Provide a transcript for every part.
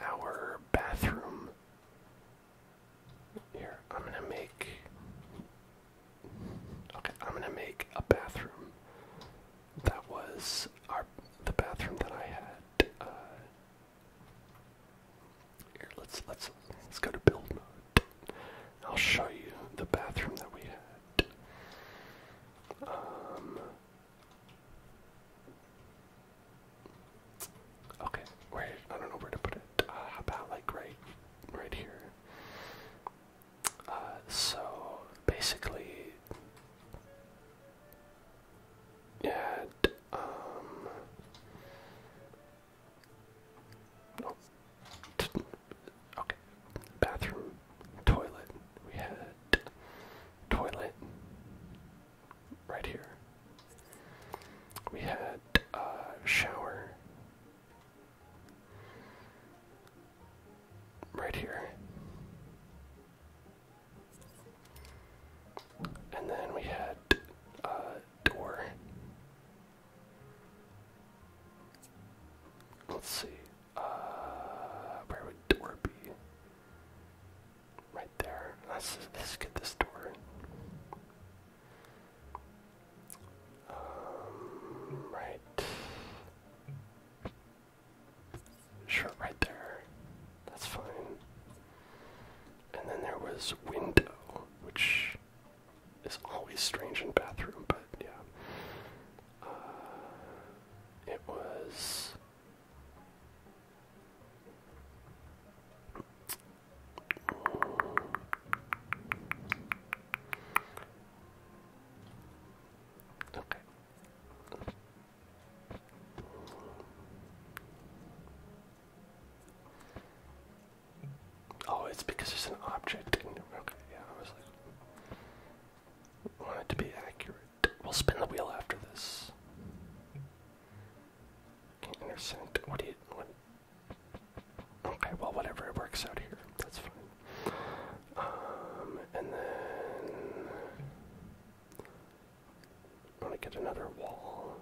our bathroom. Here, I'm gonna make. Okay, I'm gonna make a bathroom. That was our the bathroom that I had. Uh, here, let's let's let's go to build mode. I'll show you the bathroom that we had. Um, Okay, wait, I don't know where to put it. Uh, about like right, right here? Uh, so basically, yeah. Um, no. Okay, bathroom, toilet. We had toilet, right here. We had uh, shower right here. And then we had uh, door. Let's see. Uh, where would door be? right there. Let's, let's get this door. Um, right. Sure, right there. That's fine. And then there was window, which is always strange in bathroom, but yeah. Uh, it was Okay. Oh, it's because it's an object. okay, yeah, I was like, want it to be accurate. We'll spin the wheel after this. Okay, intercept. What do you. Okay, well, whatever. works out here. That's fine. Um, and then. I want to get another wall.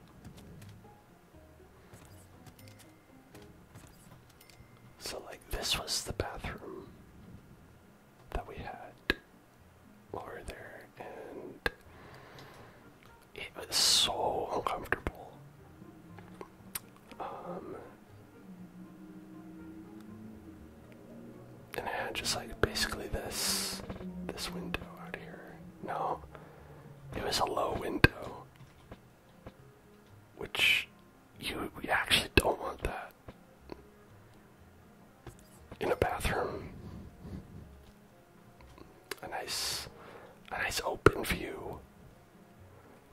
So, like, this was the bathroom that we had lower there, and it was so uncomfortable. Um, and I had just like basically this this window out here. No, it was a low window, which you we actually don't want that in a bathroom a nice a nice open view.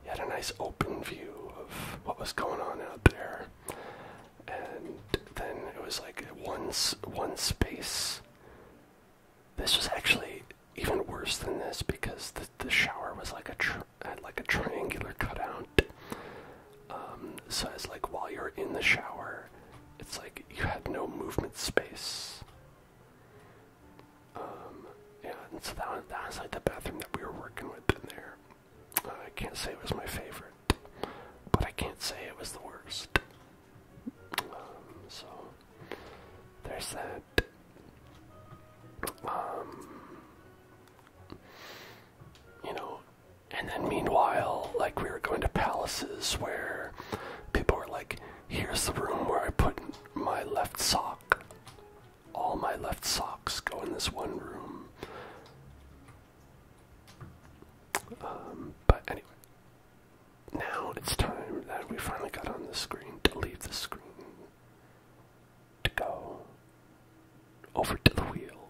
You had a nice open view of what was going on out there. And then it was like one one space. This was actually even worse than this because the, the shower was like a had like a triangular cutout. Um, so it's like while you're in the shower, it's like you had no movement space. Um, yeah, and so that, that was like the bathroom that we were working with in there. Uh, I can't say it was my favorite, but I can't say it was the worst. Um, so there's that. Um, you know, and then meanwhile, like we were going to palaces where people are like, here's the room where I put my left sock. All my left socks go in this one room. Um, but anyway, now it's time that we finally got on the screen to leave the screen to go over to the wheel.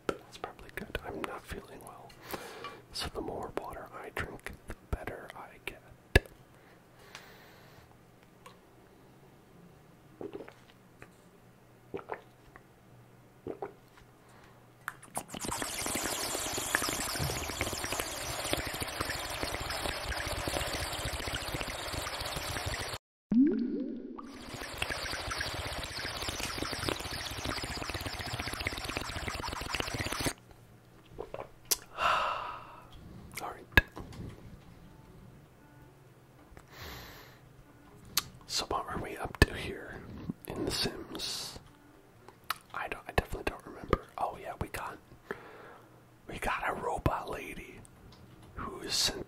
that's probably good. I'm not feeling well. So the more water I drink, the better I get. All right. So what are we up to here in The Sims? I don't. I definitely don't remember. Oh yeah, we got we got a robot lady who is sentient.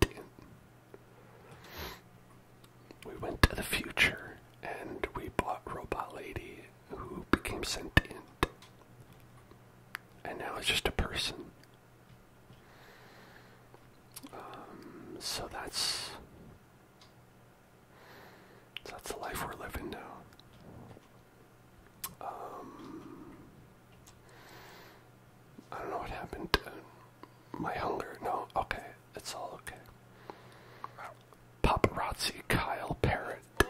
We went to the future and we bought Robot Lady, who became sentient. And now it's just a person. Um, so that's that's the life we're living now. Um, I don't know what happened. To my hunger. No, okay. It's all okay. Paparazzi Kyle Parrot. Oh,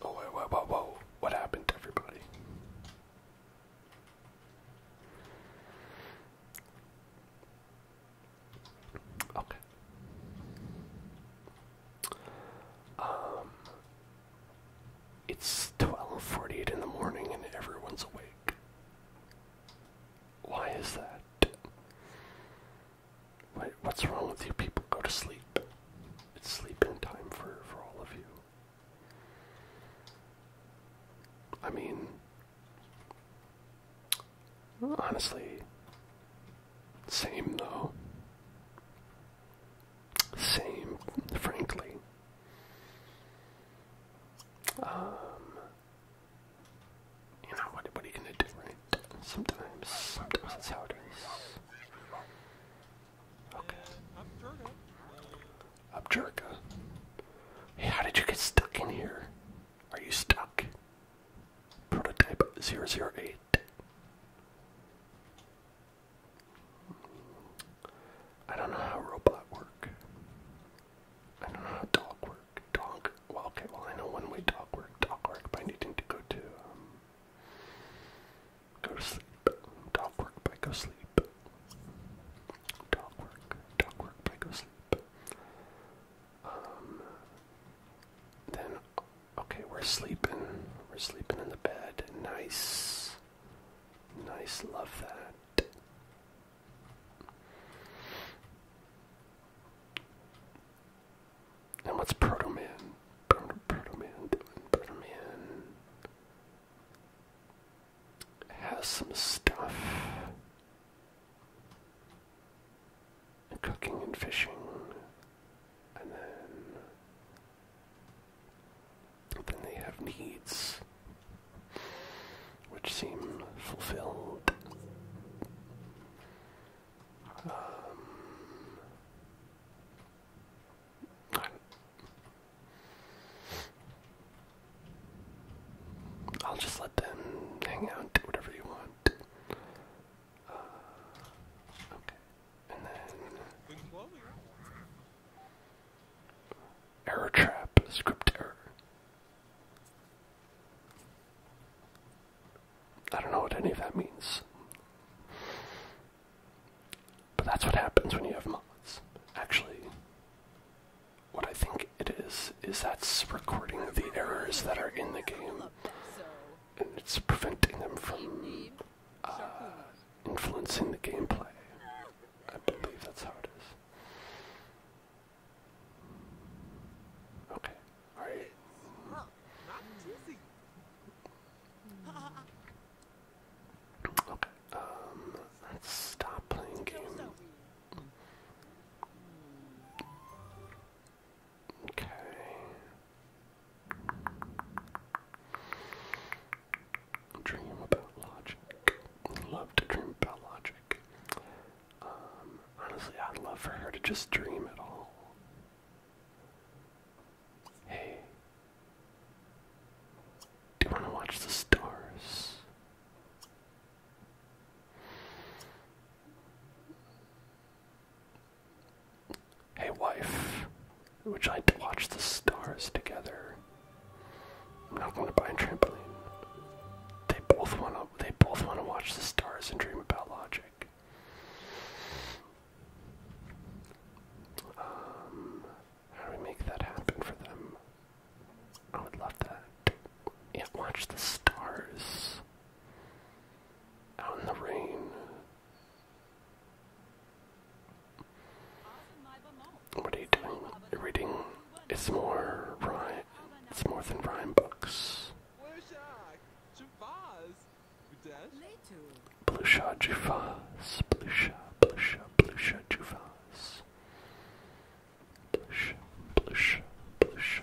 whoa, whoa, whoa, whoa. What happened to everybody? Okay. Um, it's 12:48 in the morning and everyone's awake. Why is that? What, what's wrong with you people? Go to sleep. It's sleeping time for for all of you. I mean, honestly, same though same, frankly. Um, you know what? What are you gonna do, right? Sometimes, sometimes that's how it is. Okay. Abjurka. Hey, how did you get stuck in here? Are you stuck? Prototype 008. I don't know how robot work. I don't know how dog work. Dog. Well, okay. Well, I know one way dog work. Dog work by needing to go to um, go sleep. Dog work by go sleep. Dog work. Dog work by go sleep. Um. Then Okay, we're sleeping. We're sleeping in the bed. Nice. Nice, love that. And what's Proto Man? Proto, Proto Man doing? Proto Man has some stuff. Cooking and fishing. And then then they have needs which seem fulfilled. I, um, will just let them hang out, do whatever you want. Uh, okay error trap, script error. I don't know what any of that means. But that's what happens when you have mods. Actually, what I think it is, is that's recording the errors that are in the game, and it's preventing them from influencing the gameplay. I believe that's how it is. Okay, Okay, um, let's stop playing game. Okay, Dream about logic. Love to dream about logic. Um, honestly, I'd love for her to just dream it all. Hey, do you want to watch the stars? Hey, wife, would you like to watch the stars together? I'm not going to buy a trampoline. They both want to. They both want to watch the stars and dream about logic. Um, how do we make that happen for them? I would love that. Yeah, watch the stars out in the rain. What are you doing? You're reading. It's more rhyme. It's more than rhyme books. Blusha Jufas. Blusha, Blusha, Blusha Jufas. Blusha, Blusha, Blusha.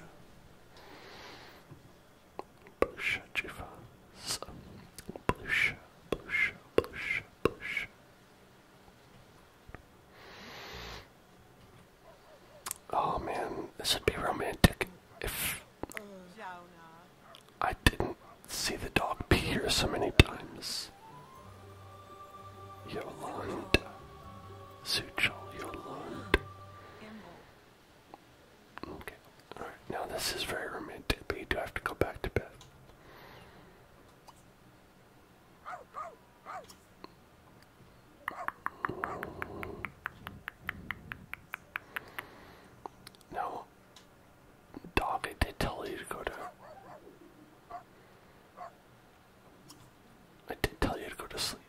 Bush Jivas. Bush, bush, bush, bush. Oh man, this would be romantic if I didn't see the dog pee here so many times. Yolanda. Suchal Yolanda. Okay. Alright, now this is very romantic, but you do have to go back to bed. No. Dog, I did tell you to go to. I did tell you to go to sleep.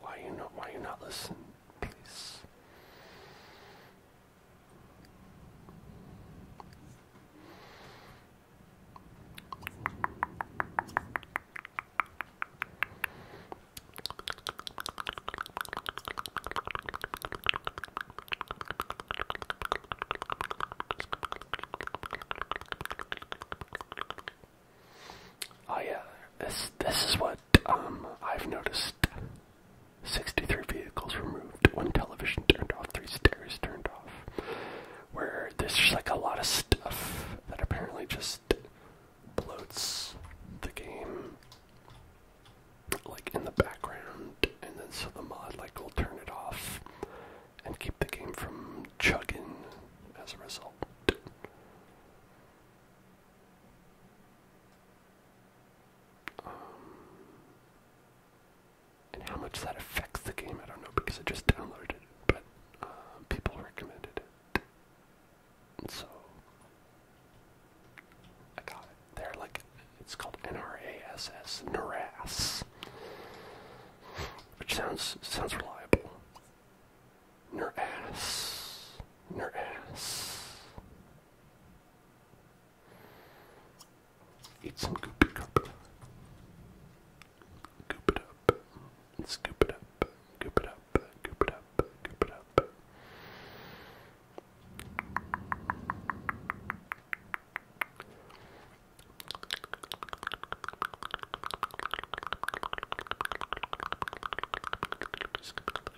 Why you not? Why you not listen, please? Oh yeah, this this is what um I've noticed 63 vehicles removed, one television turned off, three stairs turned off. Where there's just like a lot of stuff that apparently just bloats the game like in the background and then so the mod like will turn it off and keep the game from chugging as a result. Um, and how much that affects the game, I don't know because I just downloaded it, but uh, people recommended it. so I got it. They're like, it's called NRASS, NRAS, which sounds sounds reliable. NRAS, NRAS, Eat some goopy goop. Goop it up. Scoop it up. Goop it up. Goop it up. Goop it up. Scoop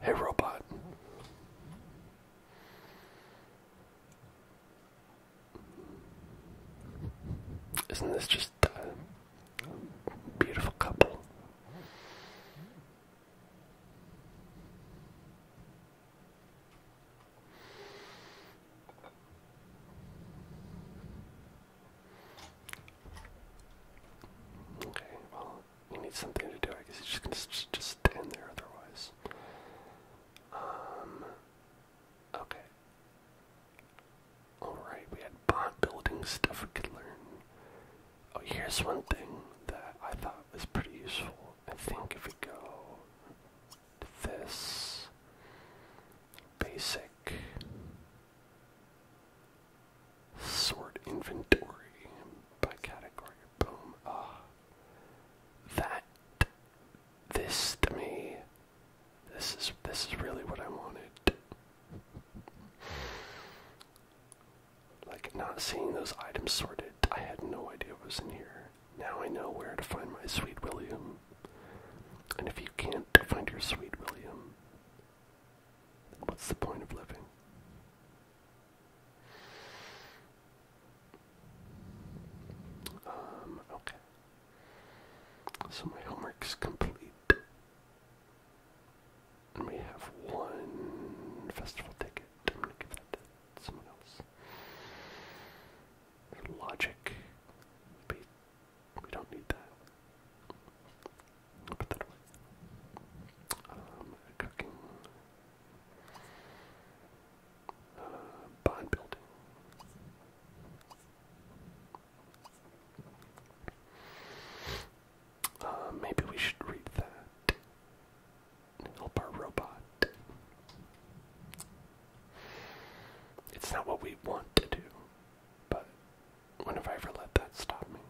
Hey, robot. Isn't this just a beautiful couple? Okay, well, you need something to do. I guess you just going just, stand there otherwise. Um, okay. Alright, we had bot building stuff we could learn. Oh, here's one thing that I thought was pretty useful. I think if we go this basic sort inventory by category, boom, ah, that, this to me, this is, this is really what I wanted. Like, not seeing those items sorted, I had no idea what was in here. Now I know where to find my Sweet William. And if you can't find your Sweet William, what's the point of living? Um, okay. So my homework's complete. And we have one festival ticket. I'm gonna give that someone else. Logic. Be, we don't need that. I'll put that away. Um, cooking. Uh, bond building. Uh, maybe we should read that. Help our robot. It's not what we want to do, but when have I ever let that stop me?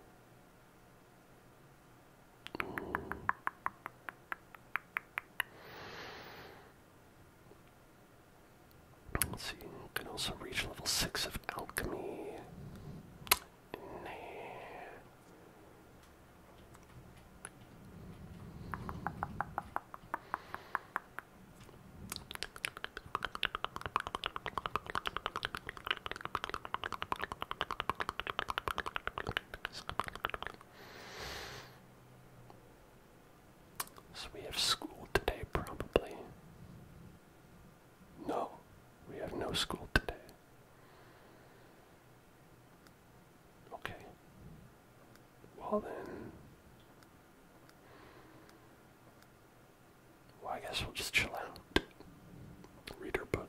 see, you can also reach level 6 of alchemy. So we have school today, probably. No, we have no school today. Okay. Well then. Well, I guess we'll just chill out. Read her book.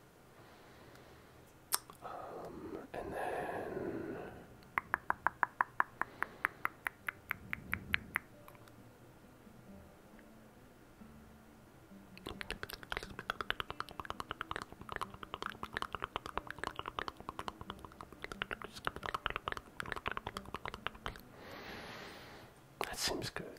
Um, and then that seems good.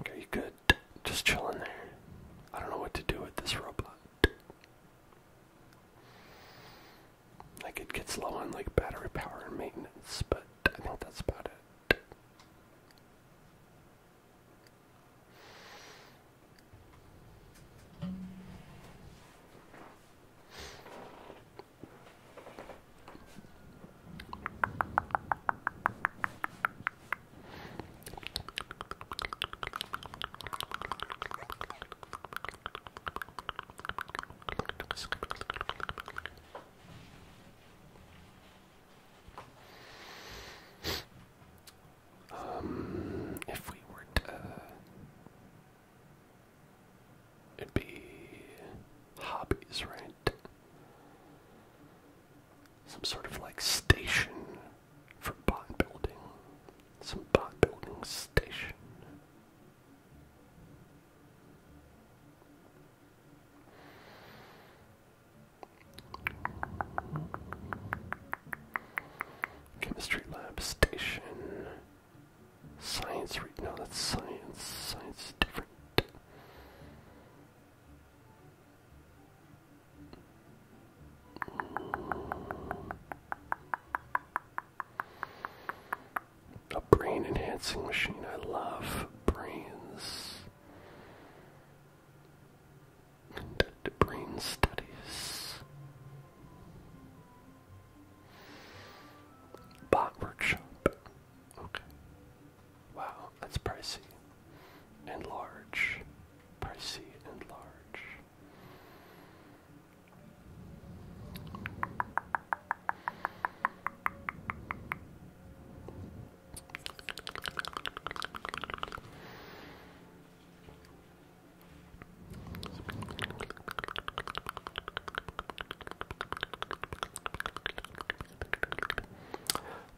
Okay, good. Just chilling there. I don't know what to do with this robot. Like it gets low on like battery power and maintenance, but I think that's about it. Um, if we were to, It'd be hobbies, right? Some sort of like station for bot building. Some bot building station. Chemistry lab station. Science read no that's science. Science is different. A brain enhancing machine. I love brains. Conduct brain studies. Bot workshop. Okay. Wow, that's pricey. And large. Pricey and large.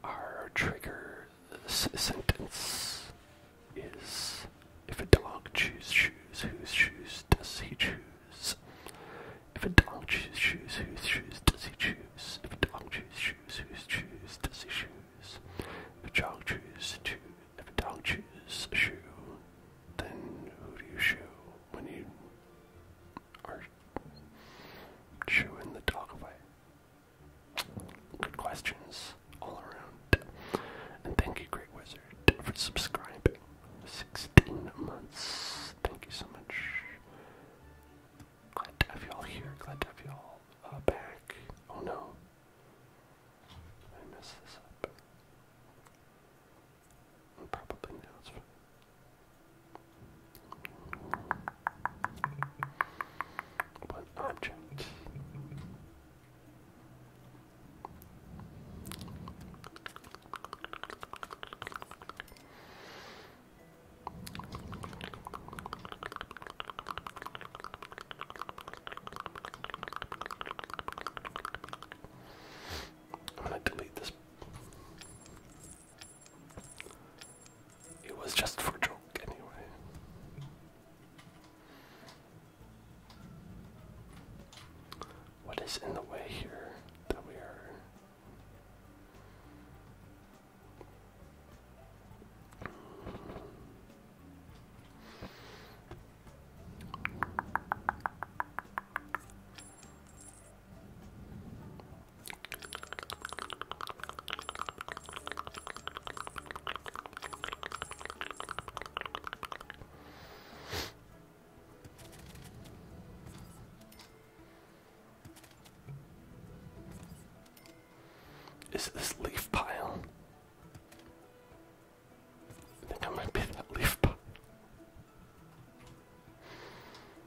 Our trigger sentence is if a dog chews shoes, whose shoes does he choose? If a dog chews shoes, whose shoes does he choose? If a dog chews shoes, whose shoes does he choose? If a dog chews shoe, if a dog chews a shoe, then who do you shoe when you are chewing the dog away. Good questions all around. And thank you, Great Wizard, for subscribing. 16 months. Thank you so much. Glad to have you all here. Glad to have you all uh, back. Oh no. I messed this up. Probably now one object. I'm gonna delete this it was just for joke anyway. What is in the way here that we are? Is this leaf pile? I think I might be that leaf pile.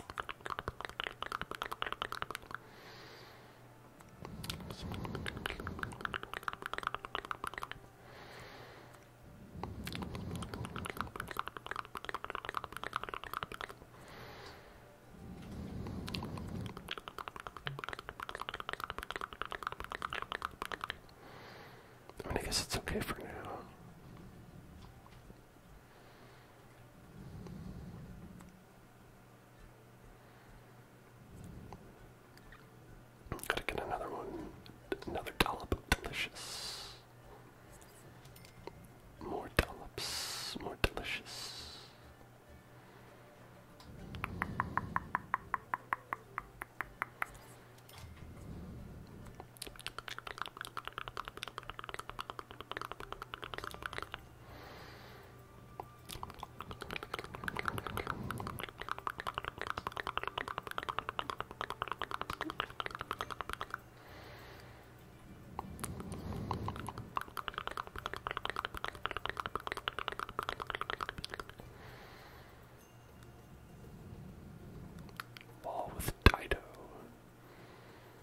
I mean, I guess it's okay for now. Gotta get another one, another dollop delicious. More dollops, more delicious. Wall with Dido.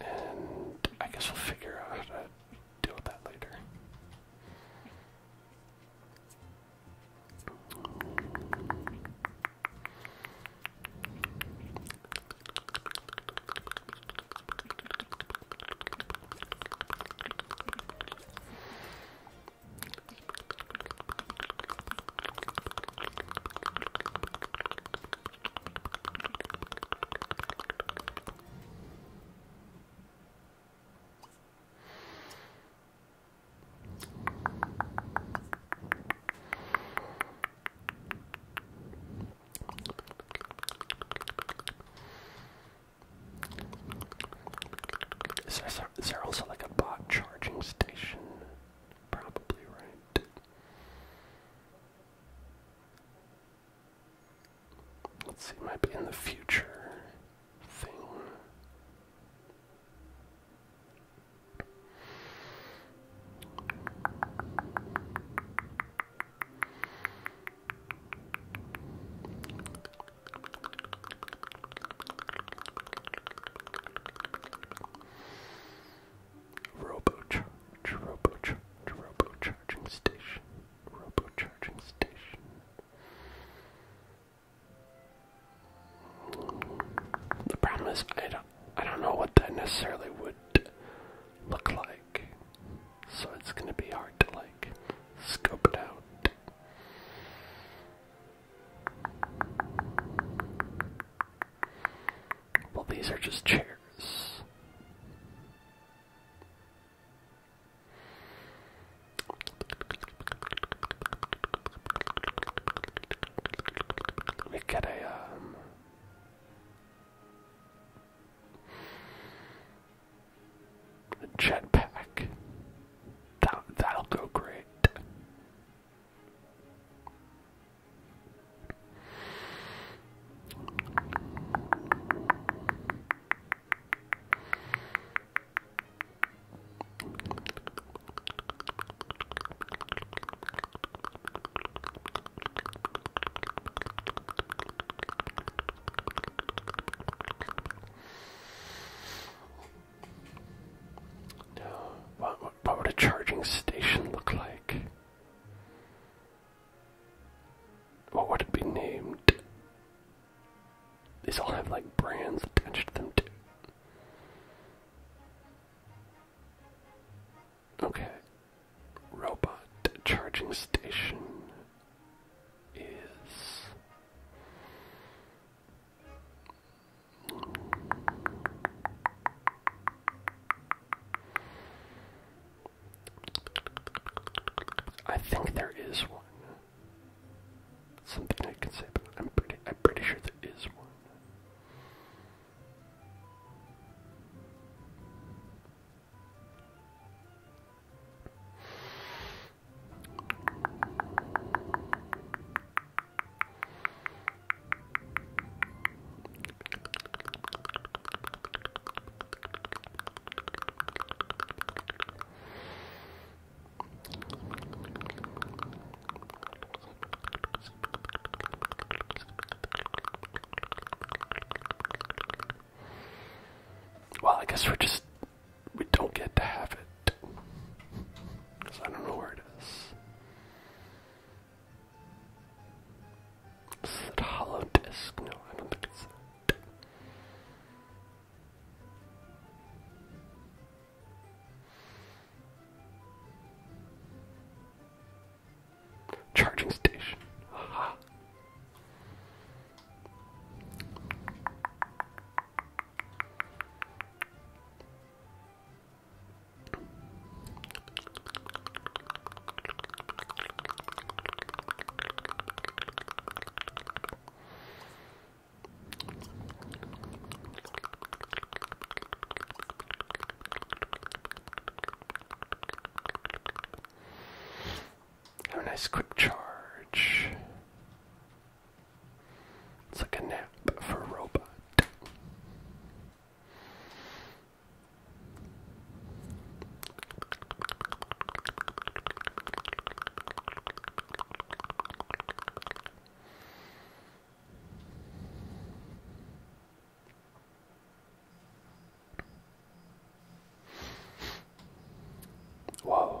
And I guess we'll figure out how to deal with that later. Is there also like a bot charging station? Probably right. Let's see, might be in the future thing. Robo charge, robo charge, robo charging station, robo charging station. The problem is I don't I don't know what that necessarily would look like. So it's gonna be hard to like scope it out. Well, these are just chairs. We get um, a, jetpack. That, that'll go great. No, what, what would a charging station look like? What would it be named? These all have like brands attached to them too. Okay. Robot charging station is I think there is one. Something I can say, but I'm pretty I'm pretty sure there is one. Well, I guess we're just. We don't get to have it. Because I don't know where it is. Is a hollow disk? No, I don't think it's that. Charging station. Have a nice quick charge. It's like a nap for a robot. Whoa.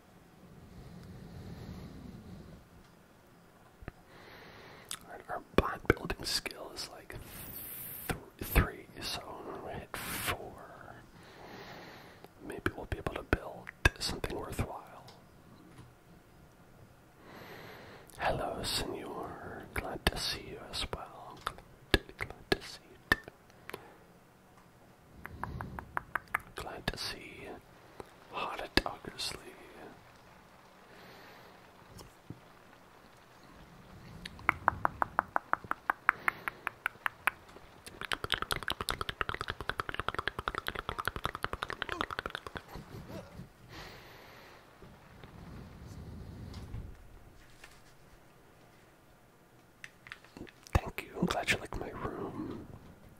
our bot building skill is like three, so hit four, maybe we'll be able to build something worthwhile. Hello, senor. Glad to see you as well. Glad to, see you. Glad to see Hotta Dockersley. Thank you. I'm glad you like my room.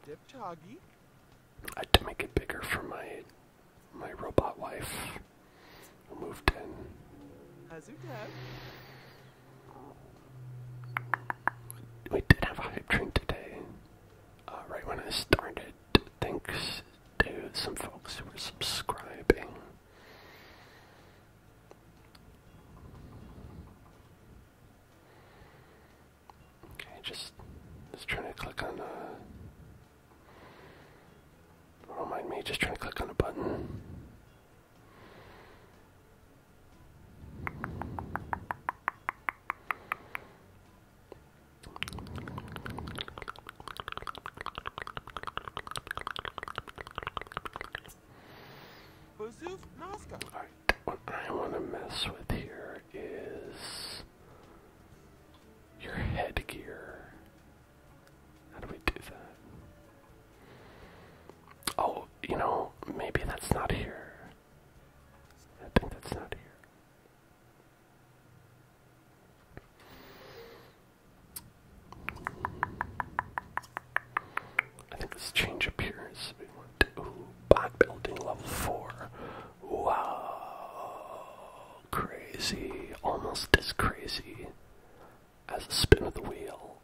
Dipchoggy. I had to make it bigger for my my robot wife moved in. We did have a hype train today, uh, right when I started. Thanks to some folks who were subscribing. Okay, just just trying to click on uh don't mind me, just trying to click on a button what I want to mess with here is your headgear. How do we do that? Oh, you know, maybe that's not here. I think that's not here. I think let's change appearance. here. we want to, ooh, bot building level four. Wow, crazy, almost as crazy as a spin of the wheel.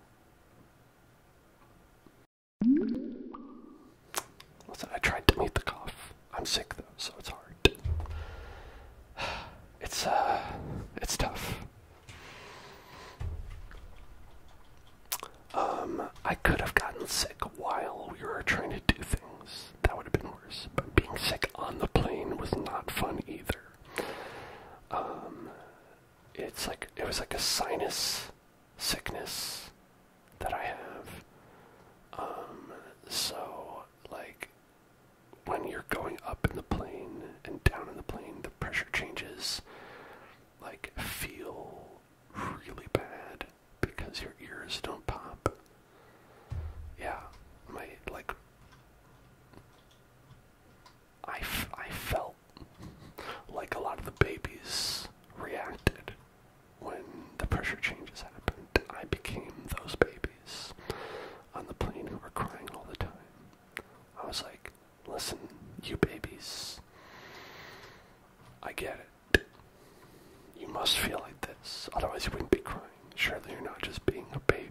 Listen, I tried to meet the cough. I'm sick though, so it's hard. It's uh, it's tough. Um, I could have gotten sick while we were trying to do things. That would have been worse. But being sick on the plane was not fun either. Um, it's like it was like a sinus sickness that I have. Um, so like when you're going up in the plane and down in the plane, the pressure changes. Like feel really bad because your ears don't pop. Yeah, my like I, f I felt like a lot of the babies reacted when the pressure changes happened. I became those babies on the plane who were crying all the time. I was like, listen, you babies, I get it. You must feel like this, otherwise you wouldn't be crying. Surely you're not just being a baby.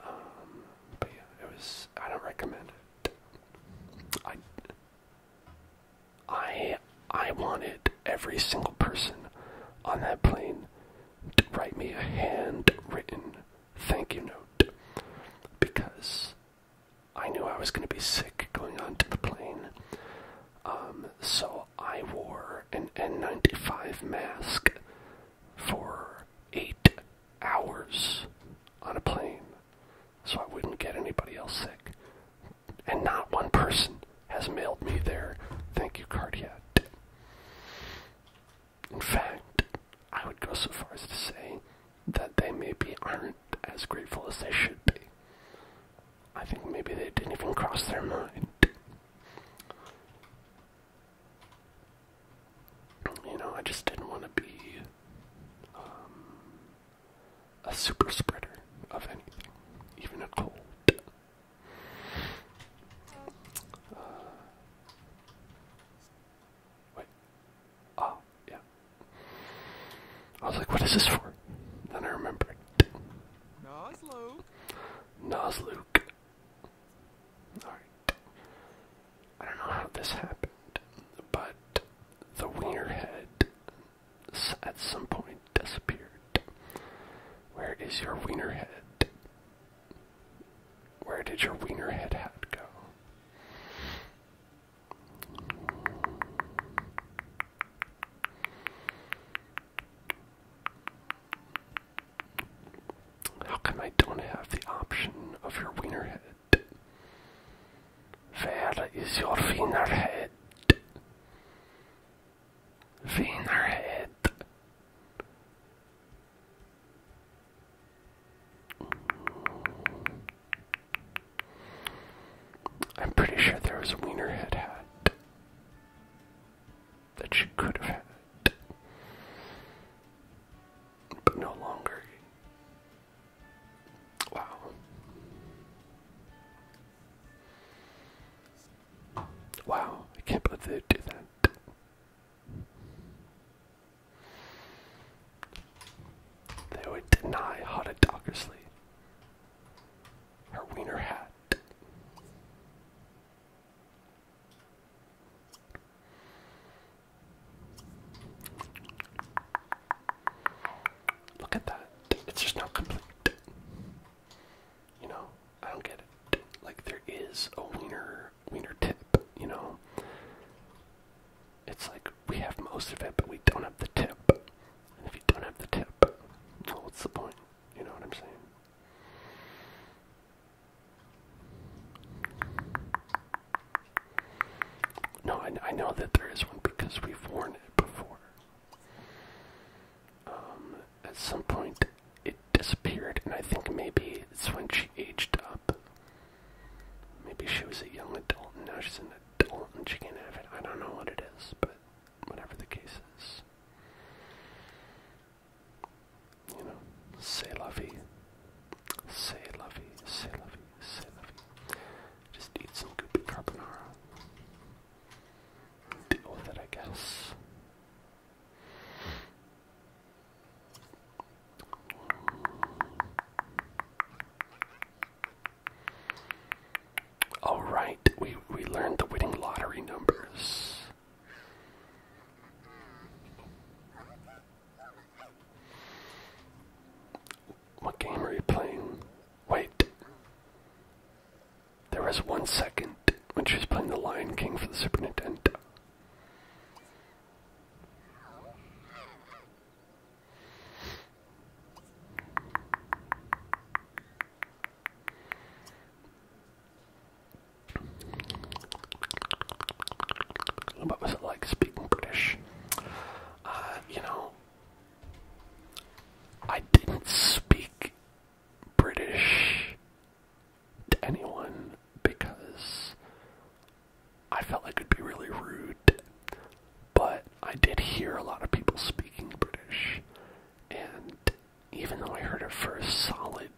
Um, but yeah, it was. I don't recommend it. I. I. I wanted every single person on that plane to write me a handwritten thank you note because I knew I was going to be sick going onto the plane. Um, so I wore an N95 mask for eight hours on a plane so I wouldn't get anybody else sick. And not one person has mailed me their thank you card yet. In fact, I would go so far as to say that they maybe aren't as grateful as they should be. I think maybe they didn't even cross their mind. You know, I just didn't want to be um, a super spreader of anything, even a cold. Uh, Wait. Oh, yeah. I was like, what is this for? Then I remembered. Nosluke. Nosluke. Alright. I don't know how this happened, but the wiener head at some point disappeared. Where is your wiener head? Where did your wiener head hat go? How come I don't have the option of your wiener head? Where is your wiener head? Wiener head. I'm pretty sure there was a wiener head hat that she could have had, but no longer. Wow. Wow, I can't believe they did that. They would deny Hotta Dockersley her wiener hat. Look at that. It's just not complete. You know, I don't get it. Like there is a wiener wiener tip, you know it's like we have most of it, but we don't have the tip. And if you don't have the tip, what's the point? You know what I'm saying? No, I, know that there is one because we've worn it before. Um, at some point, it disappeared, and I think maybe it's when she aged up. Maybe she was a young adult and now she's an adult and she can't have it. I don't know what it is, but whatever the case is. You know, say lovey. Say lovey, say lovey, say lovey. Just eat some goopy carbonara. Deal with it, I guess. All right, we we learned the winning lottery numbers. What game are you playing? Wait. There was one second when she was playing The Lion King for the Super Nintendo. What was it like speaking British? Uh, you know, I didn't speak British to anyone because I felt like it'd be really rude, but I did hear a lot of people speaking British, and even though I heard it for a solid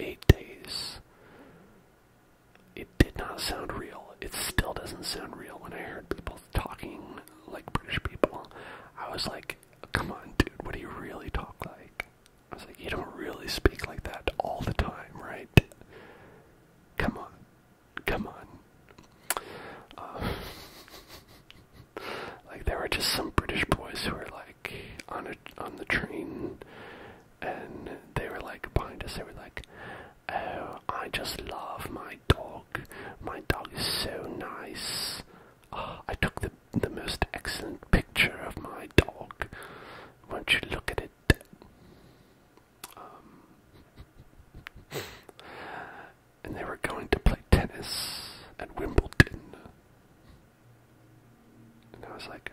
eight days, it did not sound real. It still doesn't sound real when I heard people talking like British people. I was like, come on, dude, what do you really talk like? I was like, you don't really speak like that all the time, right? Come on come on. Uh, like there were just some British boys who were like on a on the train, and they were like behind us. They were like, "Oh, I just love my dog. My dog is so nice. Ah, I took the the most excellent picture of my dog. Won't you look at it?" Um, and they were going to play tennis at Wimbledon. And I was like,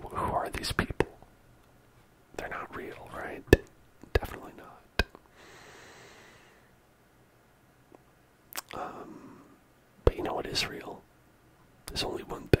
who are these people? They're not real, right? Definitely not. Um, but you know what is real? There's only one thing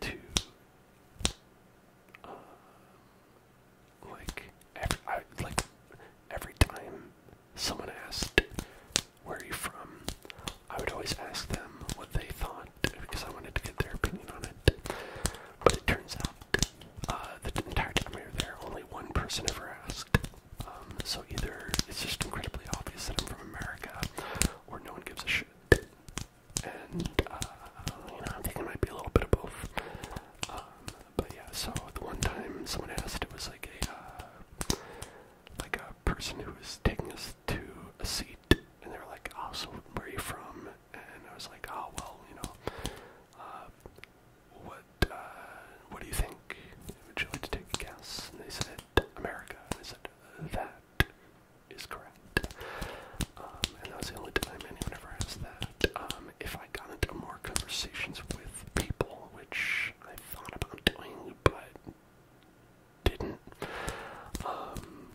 to uh, like every I, like every time someone asked where are you from, I would always ask them what they thought because I wanted to get their opinion on it. But it turns out uh, the entire time we were there, only one person ever asked. Um, so either it's just incredibly obvious that I'm from America, or no one gives a shit and uh, you know, I think it might be a little bit of both. Um, but yeah, so the one time someone asked, it was like a uh, like a person who was taking us to a seat, and they were like, "Oh, so where are you from?" And I was like, "Oh, well, you know, uh, what uh, what do you think? Would you like to take a guess?" And they said, "America." And I said, "That that is correct. Um, and that was the only time anyone ever asked that. Um, if I got into more conversations with people, which I thought about doing but didn't, um,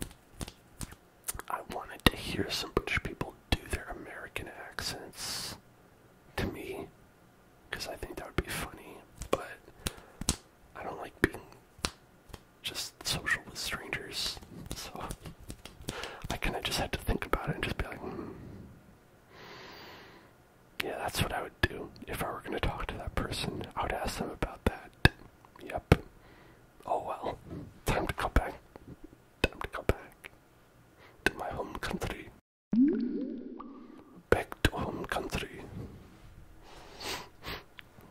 I wanted to hear some British people do their American accents to me because I think that would be funny, but I don't like being just social with strangers. So I kind of just had to think about it and just be like, hmm. yeah, that's what I would do if I were going to talk to that person. I would ask them about that. Yep. Oh well. Time to go back. Time to go back to my home country. Back to home country.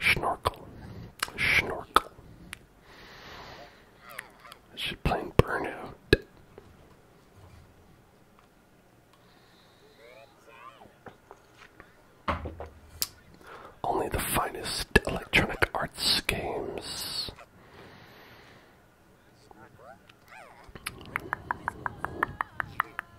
Snorkel. Snorkel. Is she playing Burnout? Only the finest electronic arts games.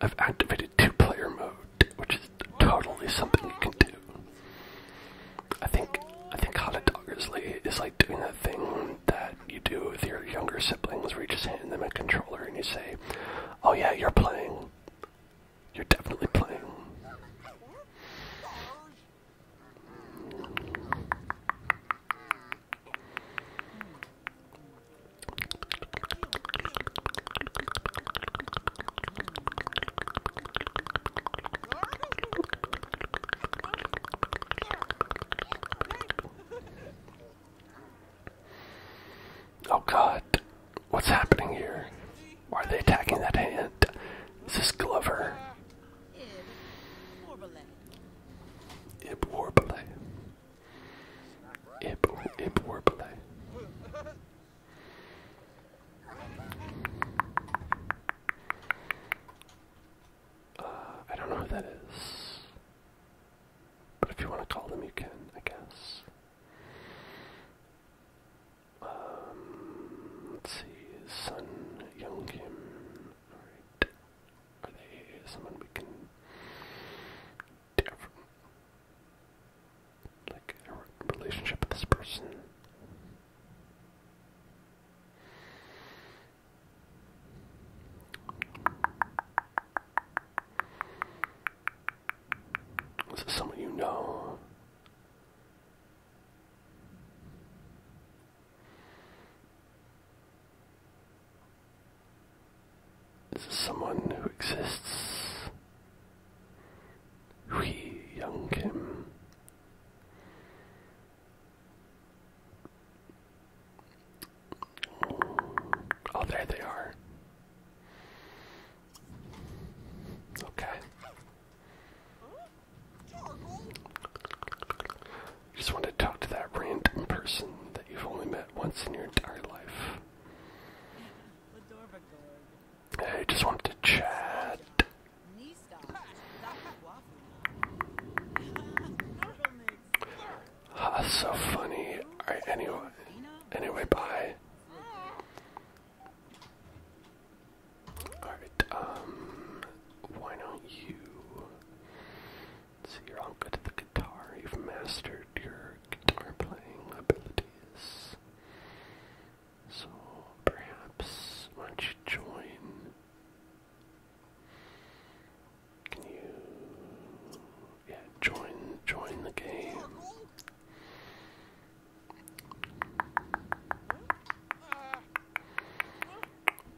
I've activated two-player mode, which is totally something you can do. I think I think Hot Dog is like, is like doing that thing that you do with your younger siblings, where you just hand them a controller and you say, "Oh yeah, you're playing. You're definitely playing." Oh god, what's happening here? are they attacking that hand? Is this Glover? Ib Warbler. Imp, imp uh, I don't know who that is, but if you want to call them, you can, I guess. Um, let's see, Sun Young Kim. Alright. Are they someone we can different like a relationship with this person. Is this someone you know? This is someone who exists. Hui Young Kim. Oh, there they are. Okay. You just want to talk to that random person that you've only met once in your entire life. I just wanted to chat. Ah, so funny. Alright, anyway. Anyway, bye. Alright, um, why don't you... see, you're all the guitar. You've mastered your guitar playing ability. So perhaps why don't you join? Can you yeah, join join the game?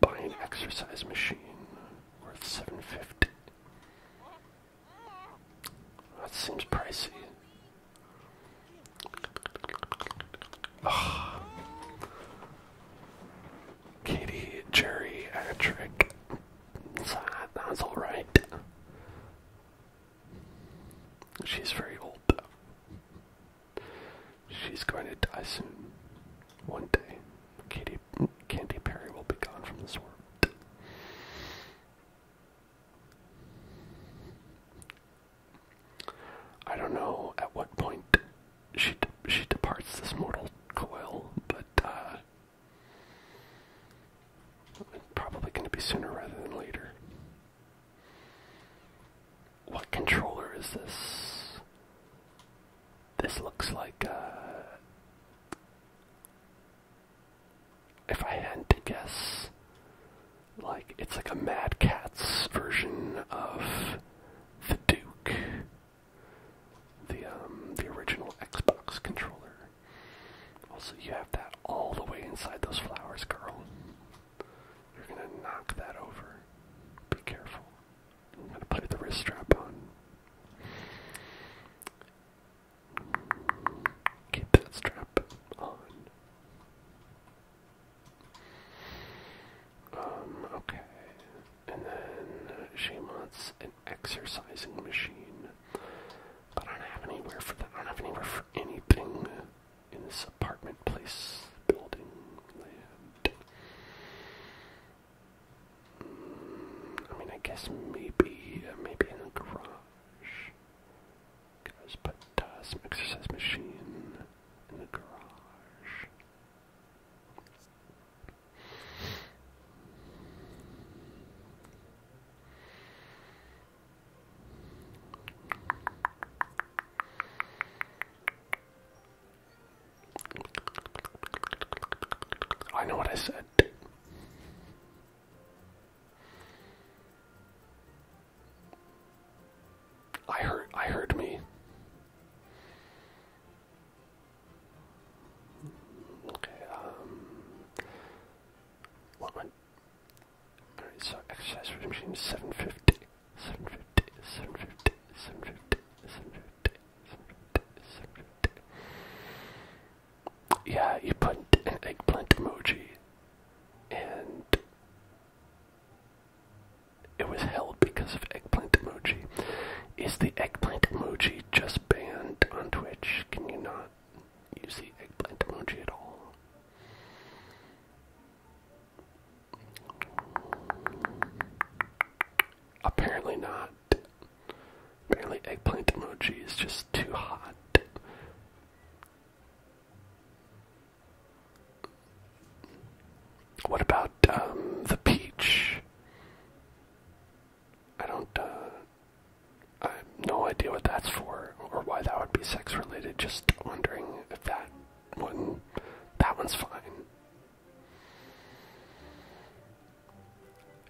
Buy an exercise machine worth seven fifty. That seems pricey. Oh. Katie, That's alright. She's very old She's going to die soon. One day. Katie Candy Perry will be gone from this world. I don't know at what point she she departs this mortal coil, but uh, probably going to be sooner rather than later. What controller is this? This looks like uh, if I had to guess, like it's like a Mad Catz version of the Duke, the um, the original Xbox controller. Also, you have that all the way inside those flowers, girl. You're gonna knock that over. Be careful. I'm gonna put the wrist strap on. Keep that strap on. Um, okay. And then she wants an exercising machine. But I don't have anywhere for that. I don't have anywhere for anything in this apartment place building mm, I mean, I guess maybe, maybe in the garage. Guys, put some exercise machine in the garage. I know what I said. I heard I heard me. Okay, one um, Alright, so exercise for machine yeah, you put an eggplant emoji, and it was held because of eggplant emoji. Is the eggplant emoji just banned on Twitch? Can you not use the eggplant emoji at all? Apparently not. Apparently, eggplant emoji is just too hot what about um, the peach? I don't. Uh, I have no idea what that's for or why that would be sex related. Just wondering if that one. That one's fine.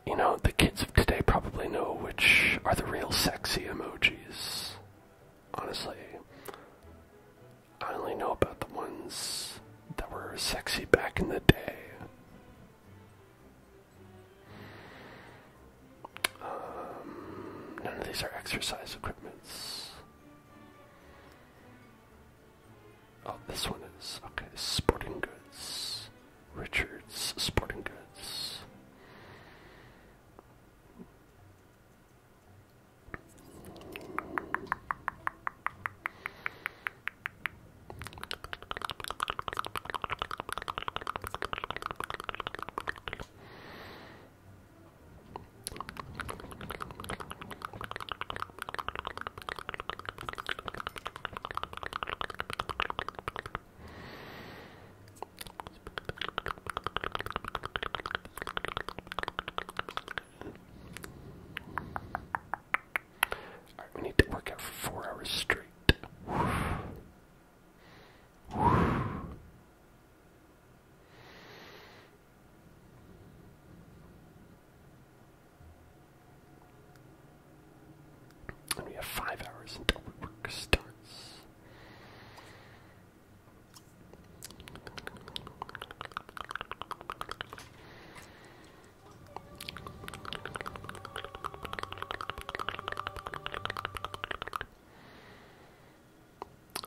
You know, the kids of today probably know which are the real sexy emojis emojis. Honestly, I only know about the ones that were sexy back in the day. Um, none of these are exercise equipments. Oh, this one is. Okay, sporting goods. Richards Sporting Goods. Alright, we need to work out for four hours straight. And we have five hours until work starts.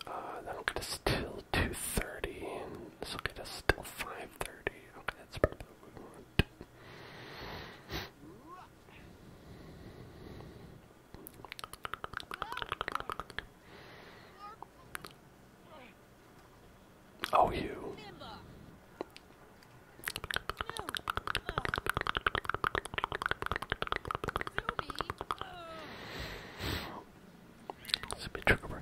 Uh, that'll get us till 2.30, this will get us till 5.30. Okay, that's probably what we want. Oh, you. It's a trigger word.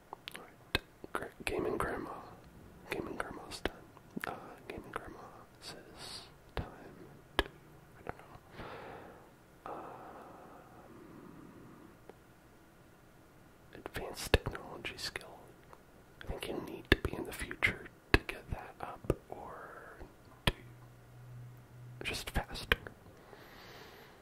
Alright, Gaming Grandma. Gaming Grandma's done. Uh, Gaming Grandma says time I don't know. Um, advanced technology skill. I think you need to be in the future to get that up or just faster.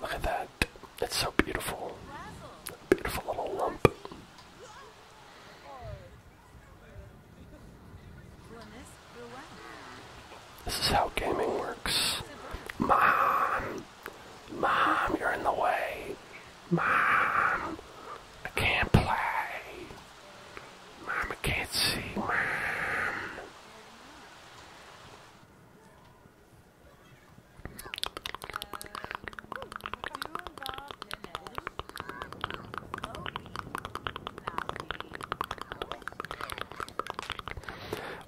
Look at that. It's so beautiful. Beautiful little lump. This is how gaming works. Mom! Mom, you're in the way. Mom! I can't play. Mama can't see.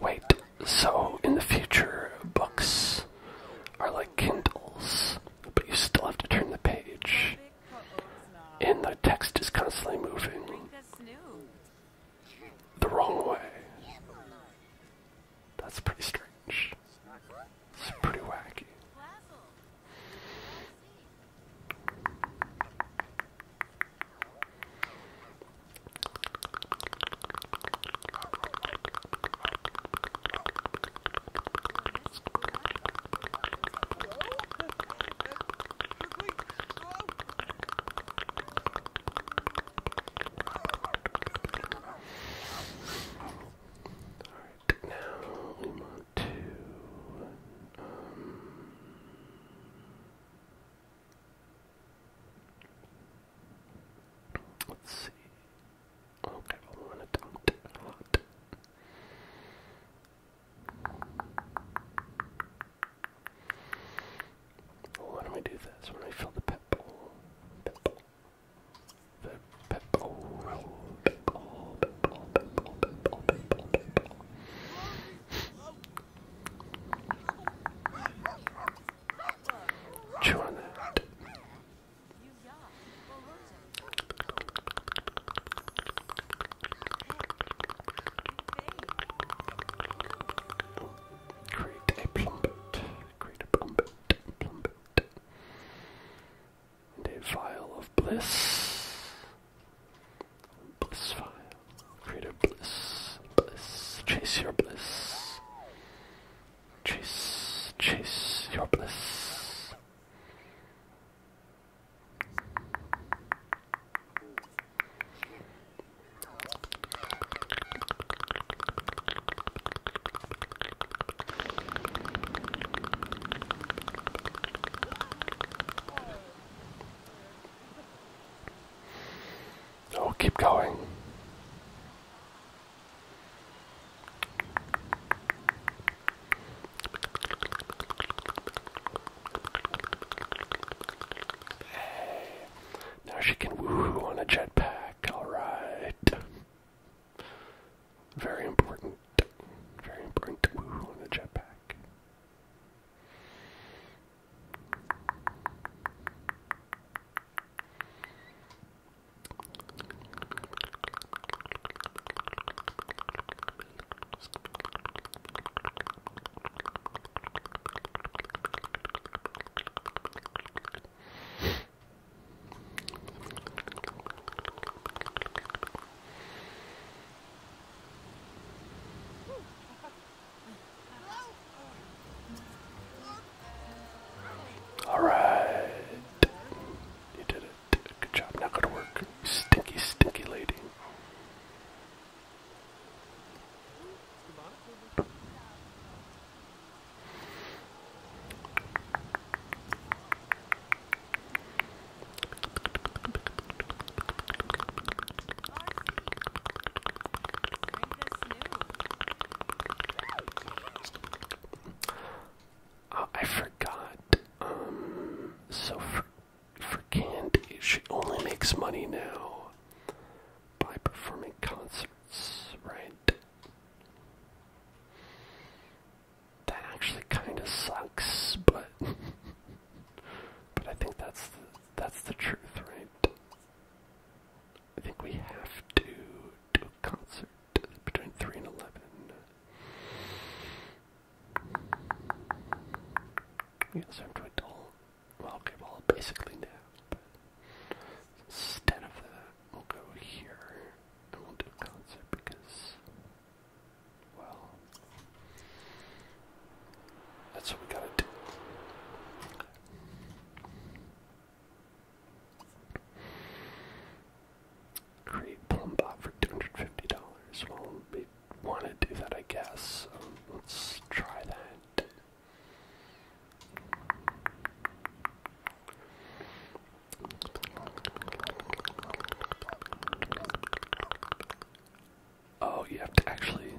Wait, so in the future, books are like Kindles, but you still have to turn the page and the text is constantly moving the wrong way. That's pretty strange. It's pretty wacky. Alright, now we want to um Let's see. Okay, I want to dump a lot. Why do I do this when I fill the pep bowl? Pep bowl. The pep bowl. Pep bowl. Pep bowl. Pep bowl. Pep bowl. Pep bowl. Pep bowl. Chew on that. Create a plumpet. Create a plumpet. Plumpet. And a vial of bliss. Bliss vial. Create a bliss. Bliss. Chase your bliss. Chase. Chase your bliss. Oh, keep going now she can woo on a jetpack, alright. Very important. Very important to woohoo on a jetpack. All right, you did it. Good job, now go to work. stinky, stinky lady. Uh, I forgot. Um, so for for Candy, she only makes money now by performing concerts, right? That actually kind of sucks, but but I think that's the, that's the truth, right? I think we have to do a concert between three and eleven. Yes, I'm to adult. okay, well, basically now, instead of that, we'll go here and concert because, well, that's what we gotta do create Plumbot for $250. Well, we want to do that, I guess. So um, let's try that. Oh, you have to actually.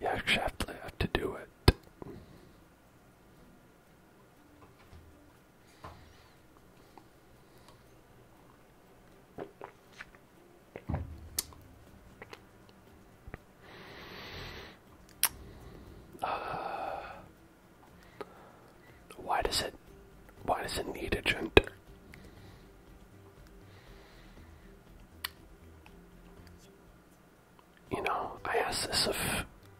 You actually have to do it. Uh, why does it why does it need a gender? You know, I ask this of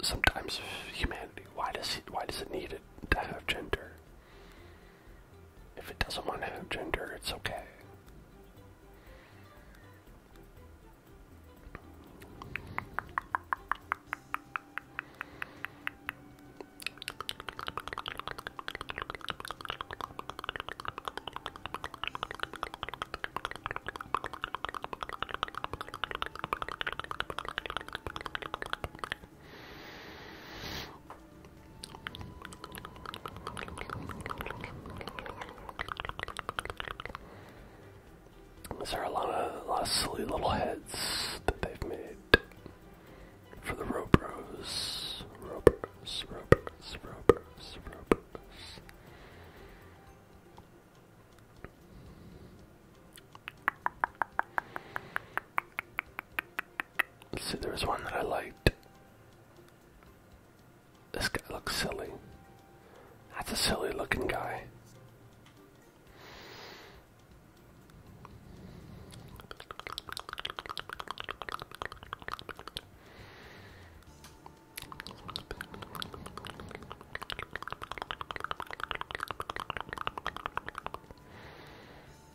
sometimes of humanity. Why does it why does it need it to have gender? If it doesn't want to have gender, it's okay. Is there a lot of, a lot of silly little heads that they've made for the Robros? Robros. Let's see, there was one that I liked. This guy looks silly. That's a silly looking guy.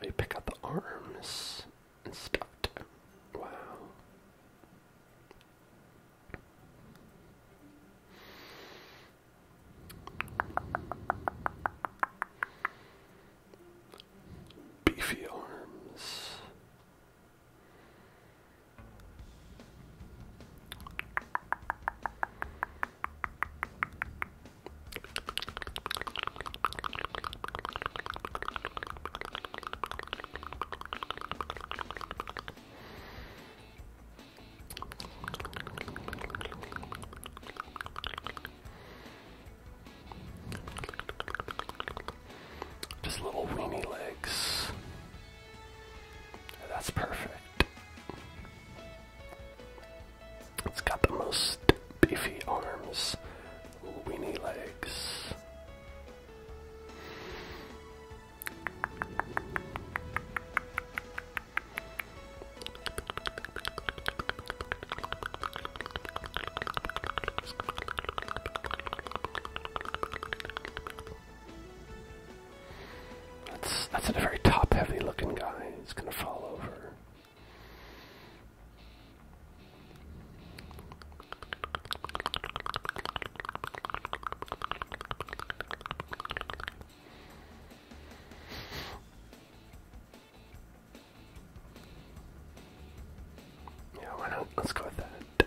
Oh, you pick up the arms and stuff. Wow. Beefy arms. Just little weenie legs. That's perfect. It's got the most beefy arms, weeny legs. That's that's a very top heavy looking guy. He's gonna fall over. Yeah, why not? Let's go with that.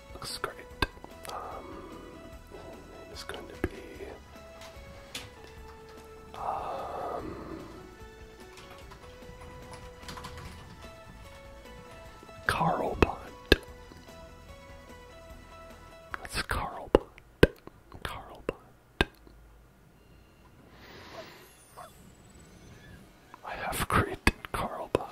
looks great. Um, name going to be. Um, Carl That's Carl Bond. I have created Carl Bond.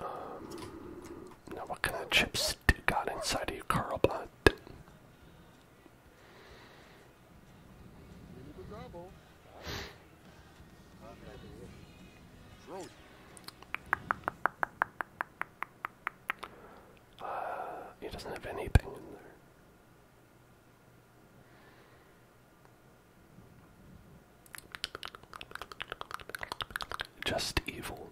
Um, now, what kind of chips did you got inside of you, Carl Blunt? Uh, he doesn't have anything in there. Just evil.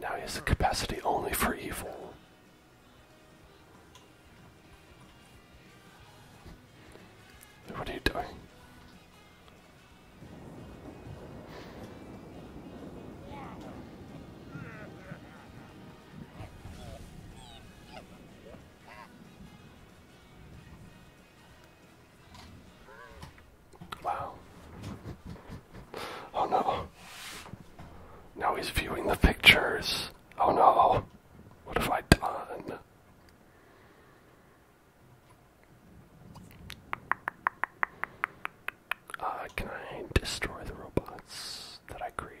Now he has the capacity only for evil. What are you doing? Wow. Oh no. Now he's viewing the pictures. Oh no. What have I done? Uh, can I destroy the robots that I create?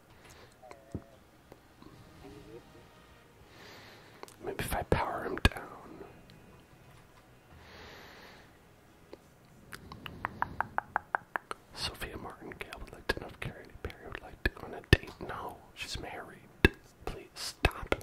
Maybe if I power him down. Sophia Martin Gale would like to know if Carrie Perry would like to go on a date. No, she's married. Please stop.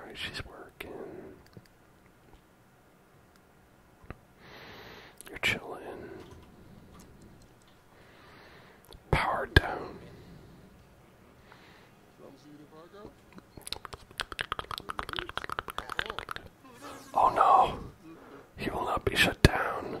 All right, she's working. You're chilling. Power down. Oh no, he will not be shut down.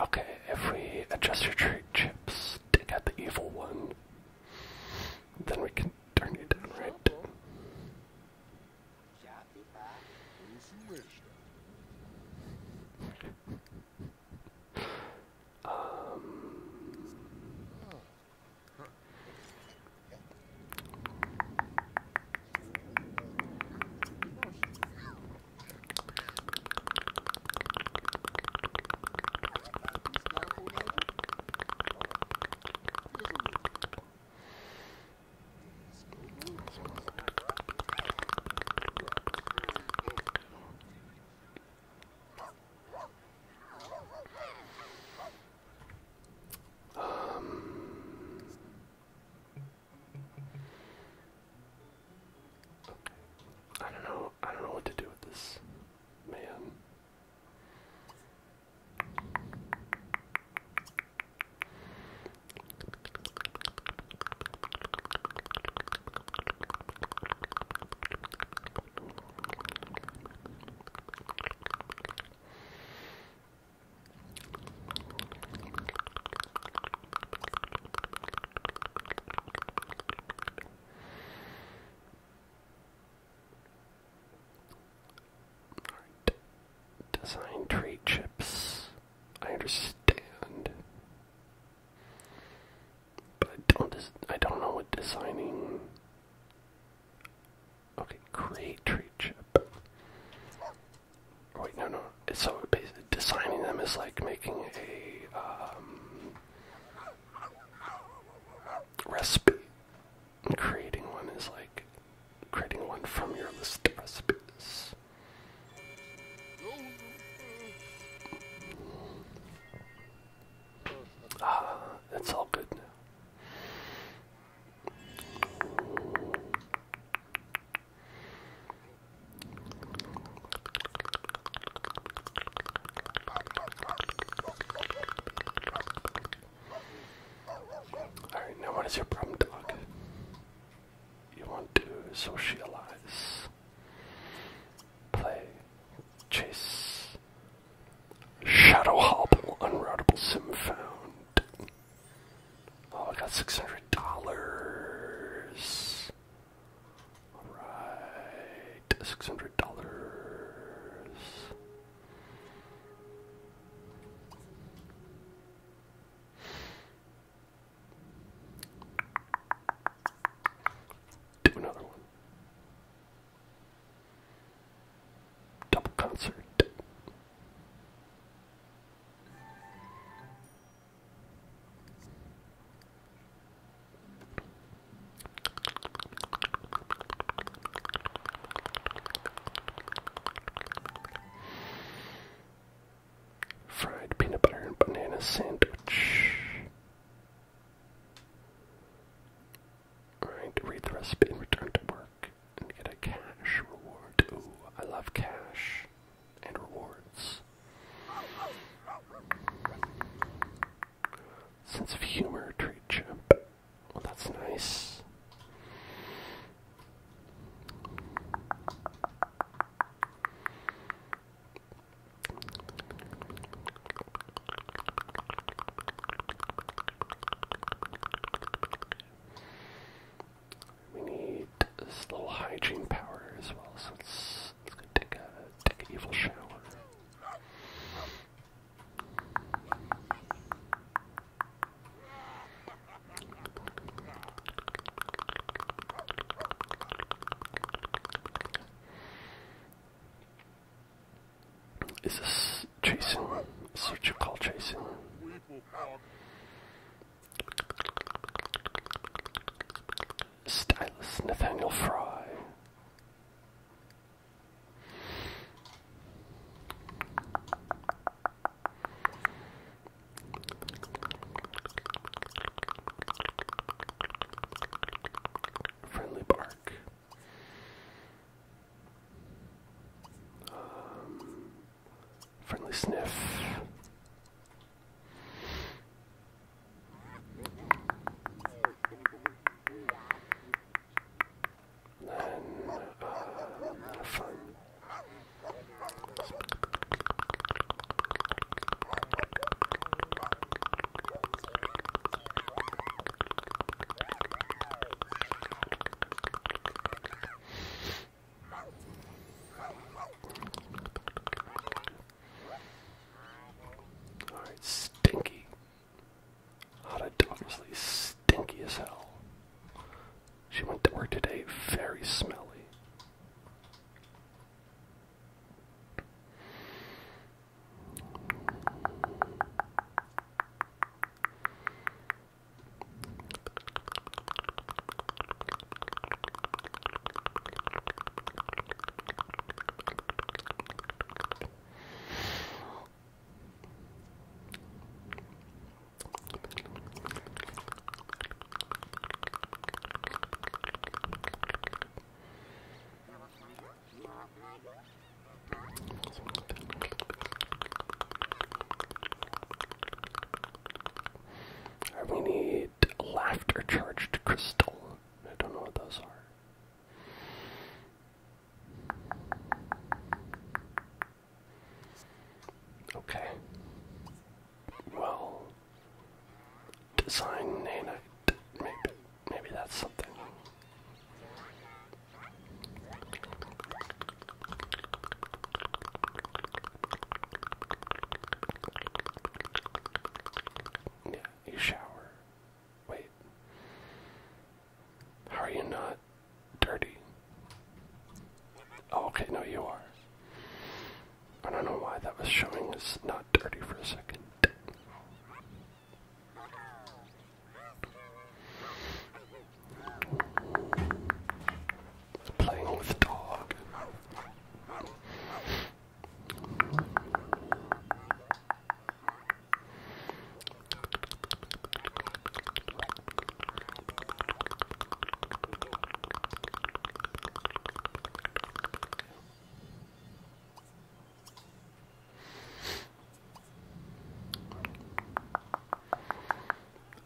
Okay, if we adjust your trait chips, take out the evil one, then we can turn it down, right? um, um, I don't know. I don't know what to do with this man. Design trade chips. I understand. But I don't I don't know what designing Okay, create trade chip. wait, no, no. So designing them is like making a um, recipe. And creating one is like creating one from your list of recipes. Ah, it's all good now. Alright, now what is your problem, dog? You want to socialize, play, chase. Shadow Hobble, unroutable sim found. Oh, I got $600. Alright, six hundred dollars. Do another one. Double concert. Fried peanut butter and banana sandwich. Alright, read the recipe and return to work and get a cash reward. Ooh, I love cash and rewards. Sense of humor, treat chip. Well, oh, that's nice. We need this little hygiene power as well, so let's, let's take a, take an evil shower. Is this Jason? Is what you call Jason? Stylus Nathaniel Fry. Friendly bark. Um, friendly sniff. Then, uh, fun. All right, stinky. Hot and obviously stinky as hell. She went to work today very smelly. We need laughter charged crystal. I don't know what those are. Okay. Well, design nanite. Maybe, maybe that's something. Yeah, you shower. Wait. How are you not dirty? Oh, okay, no, you are. I don't know why that was showing as not dirty for a second. Playing with dog.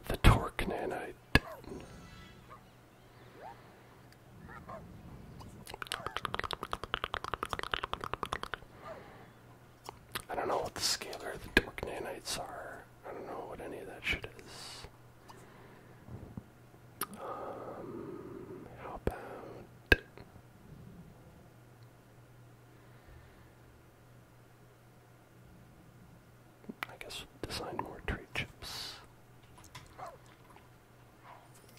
The torque nanite. I don't know what the scalar, the dark nanites are. I don't know what any of that shit is. Um, how about. I guess design more tree chips.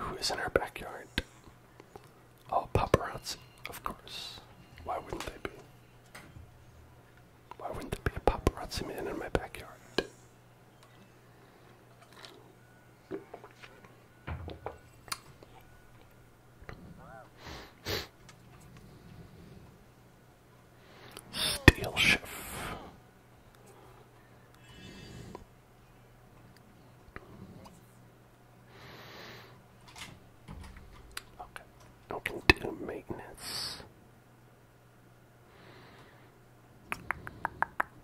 Who is in our backyard? Oh, paparazzi, of course. Why wouldn't they be? Why wouldn't there be a paparazzi man in my backyard? Steel chef. Okay, no do maintenance.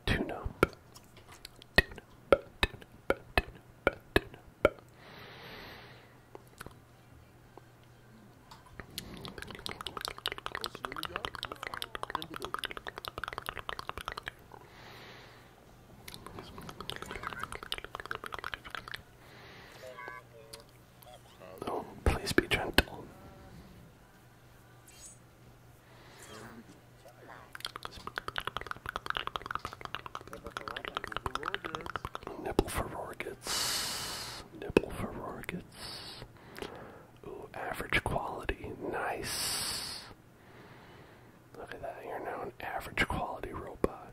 Tune up. Oh, please be gentle. Nipple for Rorgets. Nipple for Rorgets. Ooh, average quality. Nice. Look at that. You're now an average quality robot.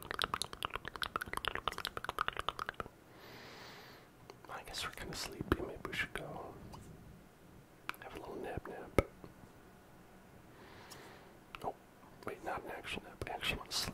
I guess we're kind of sleepy. Maybe we should go have a little nap nap. Oh, wait, not an actual nap. I actually want to sleep.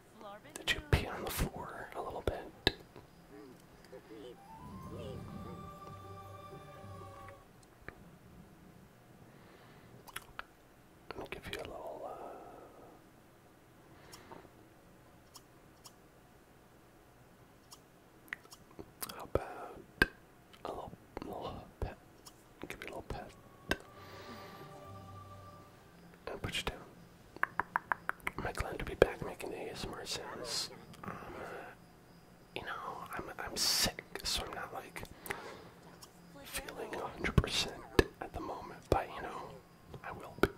to pee on the floor a little bit. I'm give you a little. Uh, how about a little, little pet? Give you a little pet do put you down. I'm glad to be back making ASMR sounds. Um, uh, you know, I'm I'm sick, so I'm not like feeling 100% at the moment, but you know, I will be.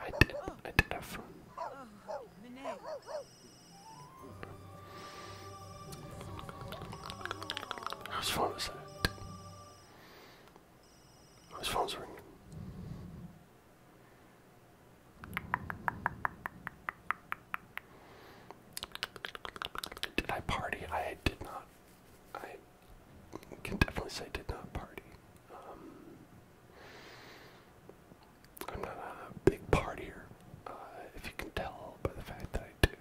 I did, I did have fun. How much fun was that? My phone's ringing. Did I party? I did not. I can definitely say did not party. Um, I'm not a big partier, uh, if you can tell by the fact that I do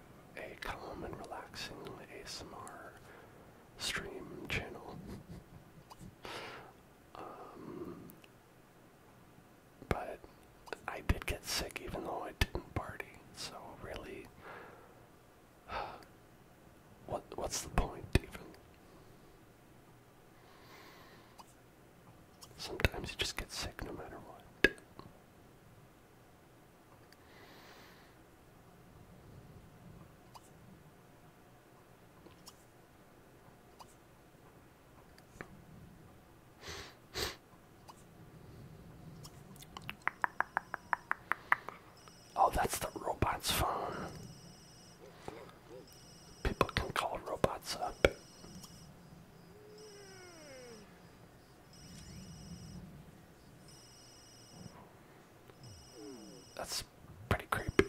a calm and relaxing ASMR stream channel. Um, but I did get sick even though I didn't party, so really, what what's the point even? Sometimes you just get sick no matter what. Oh, that's the robot's phone. People can call robots up. That's pretty creepy.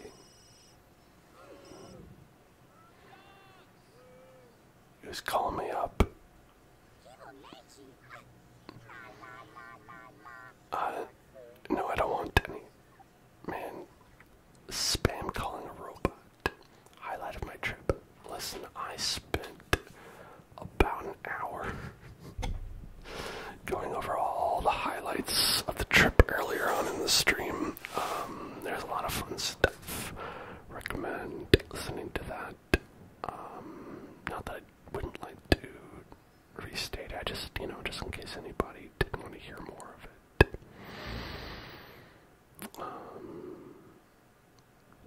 He was calling me up. Uh, no, I don't want any. Man, spam calling a robot. Highlight of my trip. Listen, I spent about an hour going over all the highlights of the trip earlier on in the stream. Um, there's a lot of fun stuff. Recommend listening to that. Um, not that I wouldn't like to restate, I just, you know, just in case anybody didn't want to hear more of it. Um,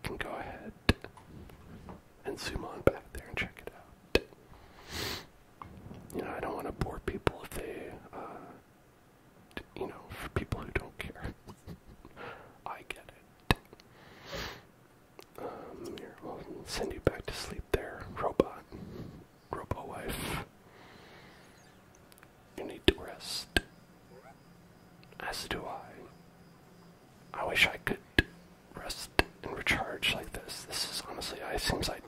can go ahead and zoom on back there and check it out you know, I don't want to bore people if they, uh, you know, for people who don't care. I get it. Um, here, we'll send you back to sleep there, robot. Robo wife. You need to rest. As do I. I wish I could rest and recharge like this. This is honestly, I seems ideal.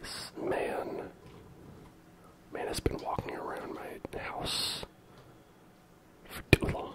This man, man has been walking around my house for too long.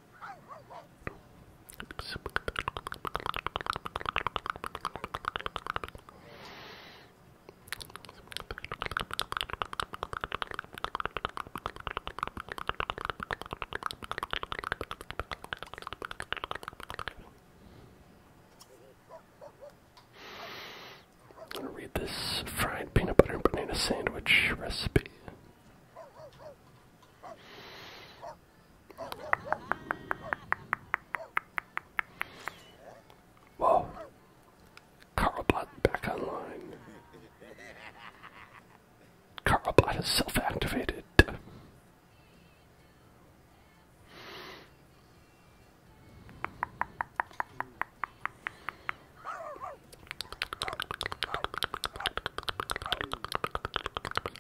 I'm gonna read this fried peanut butter and banana sandwich recipe. Whoa. Carlbot back online. Carlbot is self activated.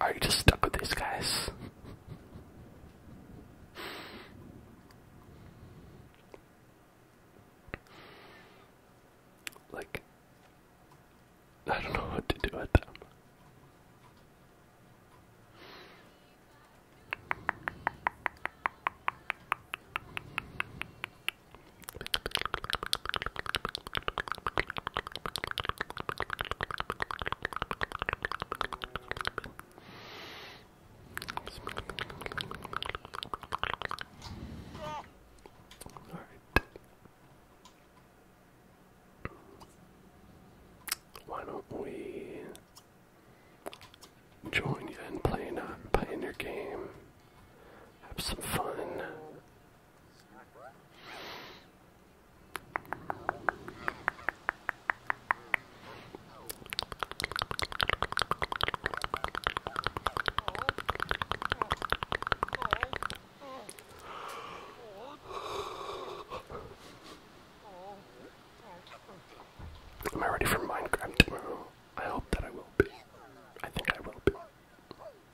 Are you just stuck with these guys? Like, I don't know what to do with them. All right. Why don't we join you in playing your game? Have some fun. Am I ready for Minecraft tomorrow? I hope that I will be. I think I will be.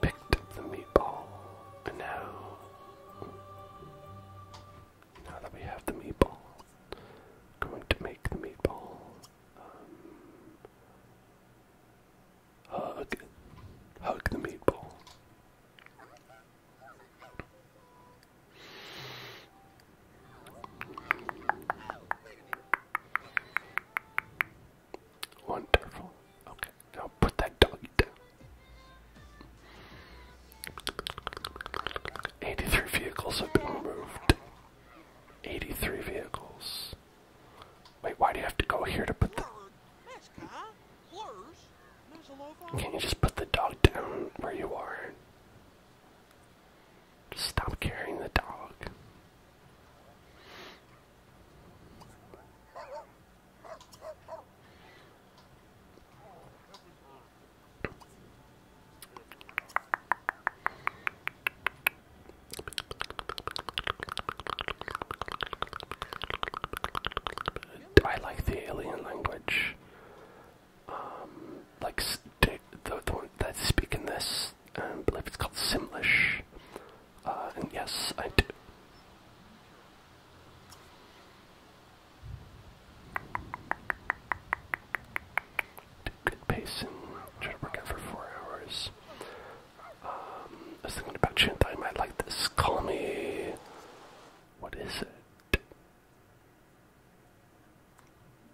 Picked up the meatball, and now, now that we have the meatball, going to make the meatball um, hug, hug the meatball. Wonderful. Okay. Now put that dog down. 83 vehicles have been removed. 83 vehicles. Wait, why do you have to go here to put the. Can you just put the dog down where you are? stop carrying the dog. I like the alien language. Um, like the, the one that's speaking this, um, I believe it's called Simlish. Uh, yes, I do. Did good pace and to work out for four hours. Um, I was thinking about you in time. like this. Call me. What is it?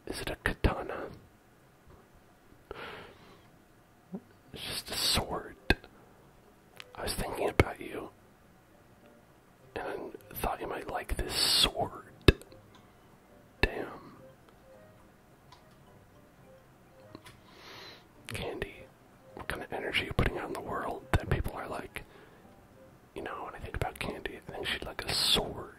Is it a katana? It's just a sword. I was thinking about you and I thought you might like this sword. Damn. Candy, what kind of energy you putting out in the world that people are like, you know, when I think about Candy, I think she'd like a sword.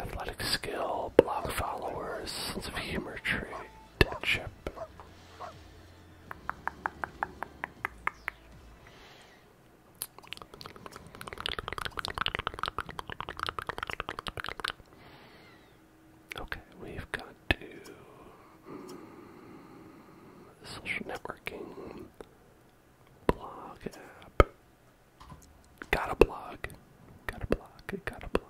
Athletic skill, block followers, sense of humor trait. Deadship. Okay, we've got to mm, social networking, blog app. Got a blog. Got a blog. Got a blog.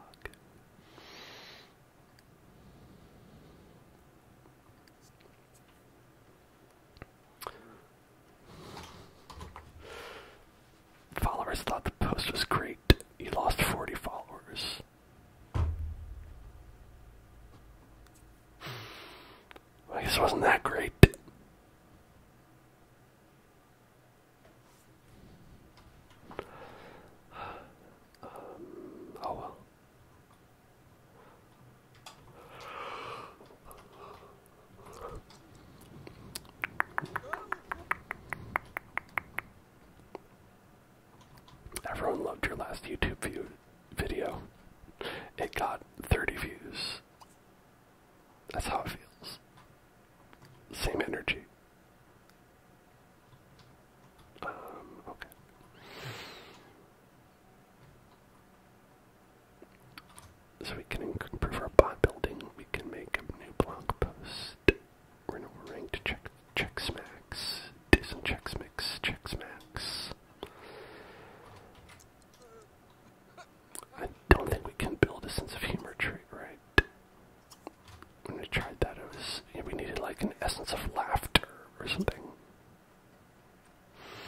Followers thought the post was great. He lost 40 followers. I guess wasn't that great. Um, oh well. Everyone loved your last YouTube view video. It got 30 views. That's how it feels. Same energy. Um, so we can improve our bot building. We can make a new blog post. We're no ranked check checks max. Decent checks mix checks max. I don't think we can build a sense of humor trait, right? when we tried that, it was we needed like an essence of laughter or something.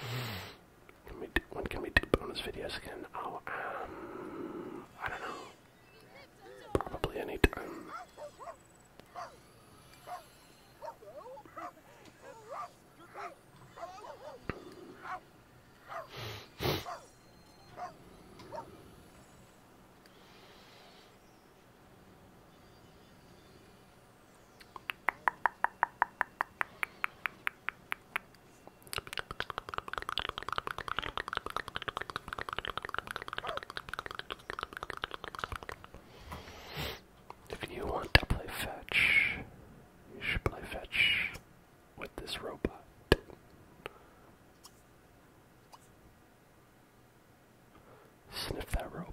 Mm-hmm. Can we do, when can we do bonus videos again? Oh, um, I don't know. Probably any if you want to play fetch, you should play fetch with this robot. Sniff that robot.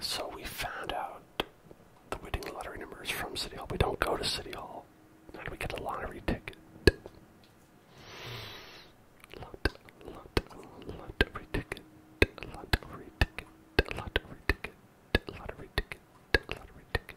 So we found out the winning lottery number is from City Hall. We don't go to City Hall. How do we get a lottery ticket? Lot, lot, lottery ticket, lottery ticket, lottery ticket, lottery ticket, lottery ticket.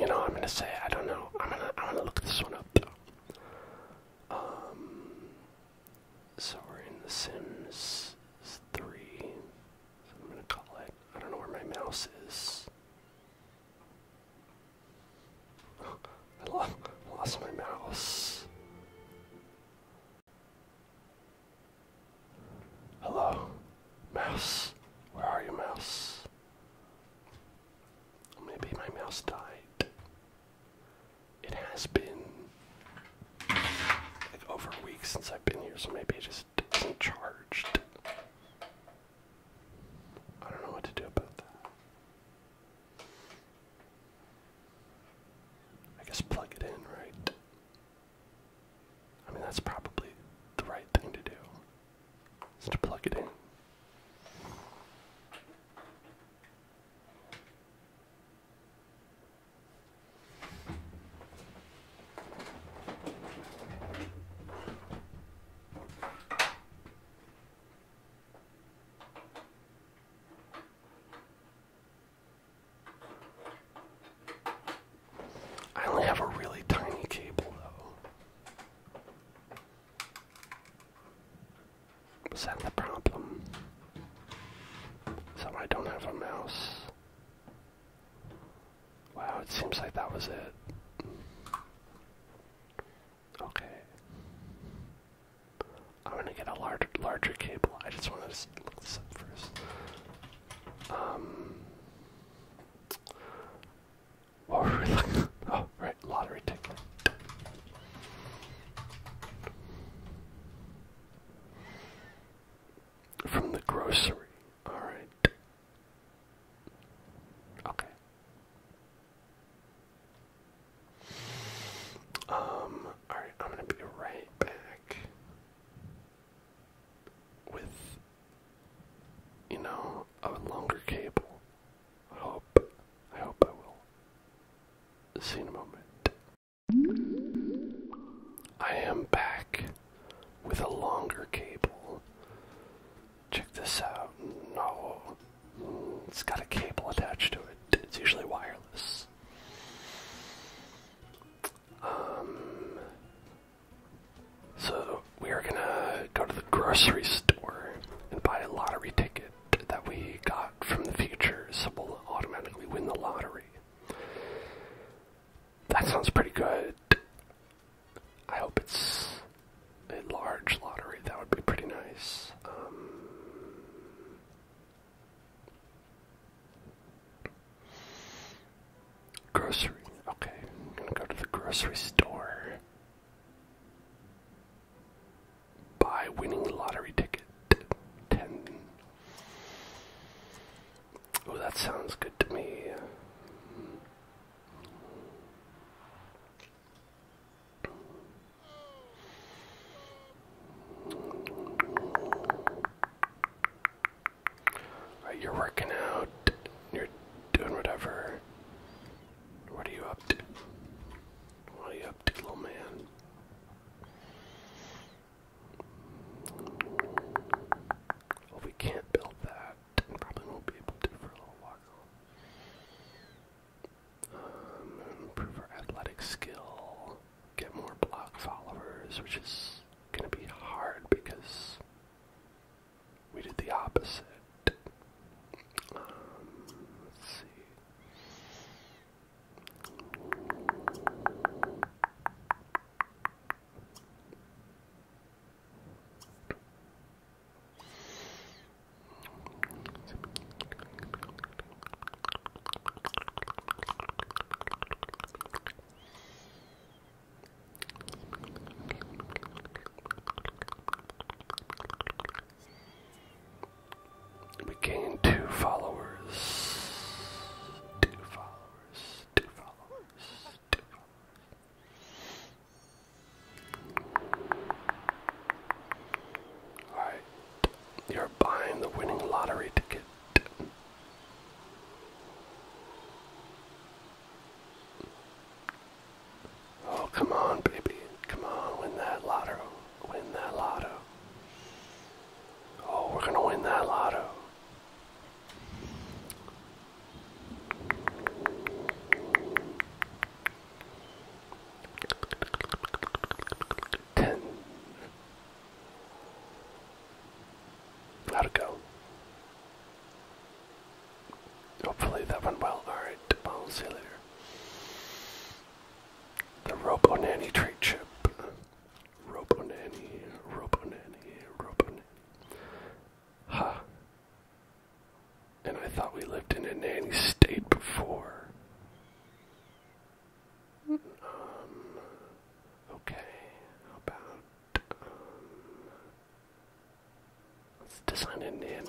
You know, I'm gonna say I don't know. I'm gonna I'm gonna look this one up Um, so we're in The Sims three. I'm gonna call it. I don't know where my mouse is. I lost, my mouse. Hello, mouse. Where are you, mouse? Maybe my mouse died. It has been like over a week since I've been here, so maybe it just charged. I don't know what to do about that. I guess plug it in, right? I mean, that's probably the right thing to do. Just plug it in. I only have a really tiny cable, though. Is that the problem? So I don't have a mouse. Wow, it seems like that was it. Okay. I'm gonna get a larger, larger cable. I just want to look this up first. Um, what were we looking? Oh, right, lottery ticket. From the grocery. All right. Okay. Um, alright, I'm gonna be right back with, you know, a longer cable. I hope, I hope I will. See in a moment. I am back with a longer cable. Check this out. No, it's got a cable attached to it. It's usually wireless. Um, so we are gonna go to the grocery store and buy a lottery ticket that we got from the future, so we'll automatically win the lottery. That sounds pretty good. I hope it's a large lottery. That would be pretty nice. Um, grocery. Okay, gonna go to the grocery store. Buy winning lottery ticket. Ten. Oh, that sounds good to me you're working out, you're doing whatever. What are you up to? What are you up to, little man? Well, we can't build that probably won't be able to for a little while. Um, improve our athletic skill, get more block followers, which is gonna be hard because we did the opposite. Um, let's see. We gained two followers. Two followers. Two followers you're buying the winning lottery ticket. Oh, come on, baby. Come on, win that lotto. Win that lotto. Oh, we're gonna win that lotto. Ten. How'd it go? Hopefully that went well. Alright, I'll see you later. The Robo Nanny trade chip. Robo Nanny, Robo Nanny, Robo Nanny. Ha. And I thought we lived in a nanny state before. Um, okay, how about, um, let's design a nanite.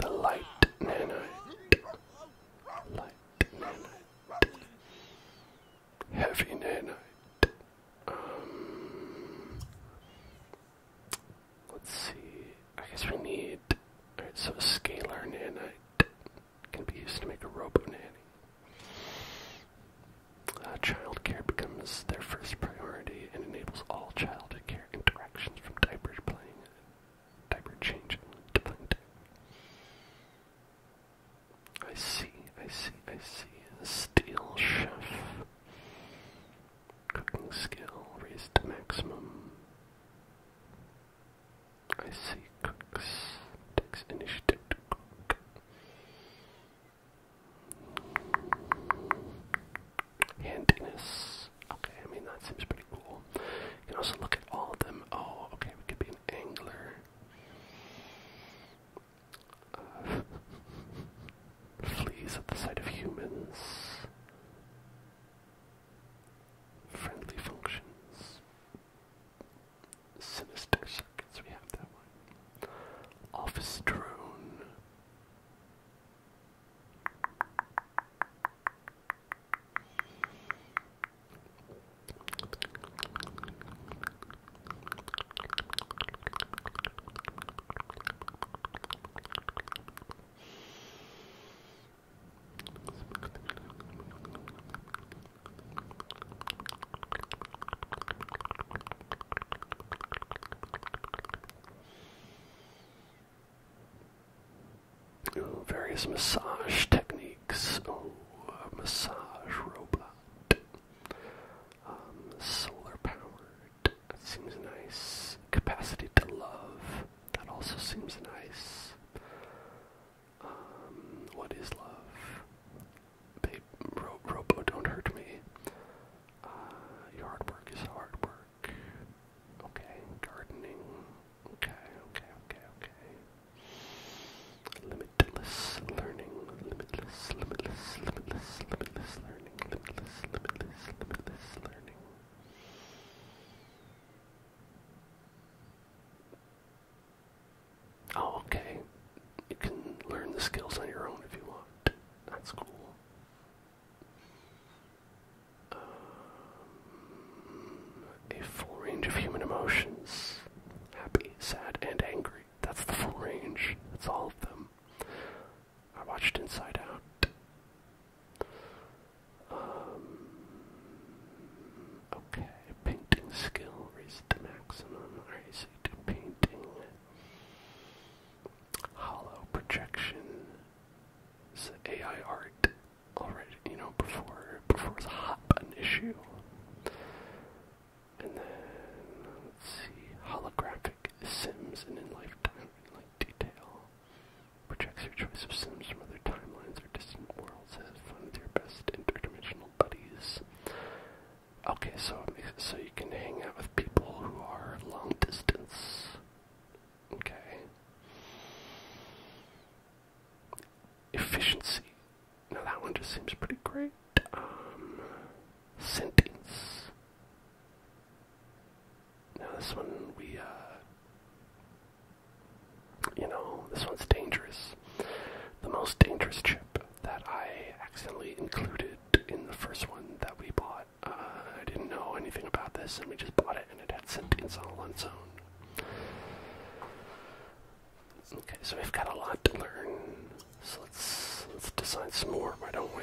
The light nanite, light nanite, heavy nanite. Um, let's see. I guess we need. Alright, so scalar nanite can be used to make a robo-nanny. Uh, child care becomes their first priority and enables all child care interactions from diaper playing, diaper changing to playing I see, I see, I see. Steel chef. Cooking skill raised to maximum. I see Cooks takes initiative to cook. Handiness. Okay, I mean that seems pretty cool. You can also look at all of them. Oh, okay, we could be an angler. Uh, at the sight of humans. Friendly functions. Sinister Circuits, we have that one. Office Drone various massage techniques. Oh, massage robot. Um, solar powered. That seems nice. Capacity to love. That also seems nice. Um, what is love? Babe, Robo, don't hurt me. Uh, your hard work is hard work. Okay, gardening. Okay, okay, okay, okay. Limitless learning. Limitless, limitless, limitless, limitless learning. Limitless, limitless, limitless learning. Oh, okay. You can learn the skills on your own if you want. That's cool. Um, a full range of human emotions happy, sad, and angry. That's the full range. That's all of them. I watched Inside Out. Um, Okay, painting skill raised to maximum. Alright, so you do painting. Hollow projection. So AI art already, you know, before before it was hot button issue. And then let's see, holographic sims and in lifetime in like detail. Projects your choice of sims from other timelines or distant worlds one of your best interdimensional buddies. Okay, so so you can hang out with people who are long distance. Okay. Efficiency. Now that one just seems pretty great. Um, sentence. Now this one we uh you know, this one's dangerous. The most dangerous chip that I accidentally included in the first one that we bought. Uh, I didn't know anything about this, and we just bought it, and it had sentience on its own. Okay, so we've got a lot to learn. So let's let's design some more, why don't we?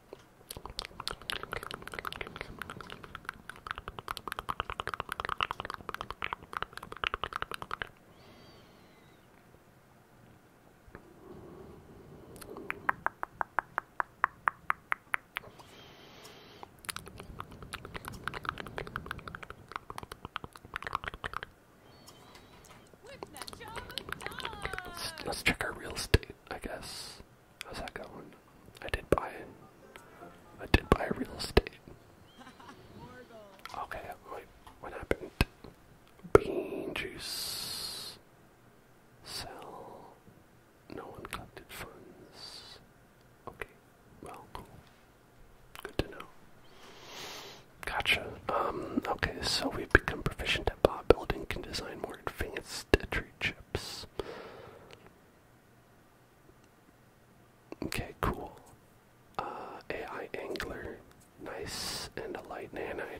Let's, check our real estate, I guess. How's that going? I did buy it. I did buy real estate. Okay, wait, what happened? Bean juice. Sell. No one funds. Okay, well, cool. Good to know. Gotcha. Um, okay, so we've become proficient at bot building, can design more advanced entry chips. Okay, cool. Uh, AI angler, nice, and a light nanite.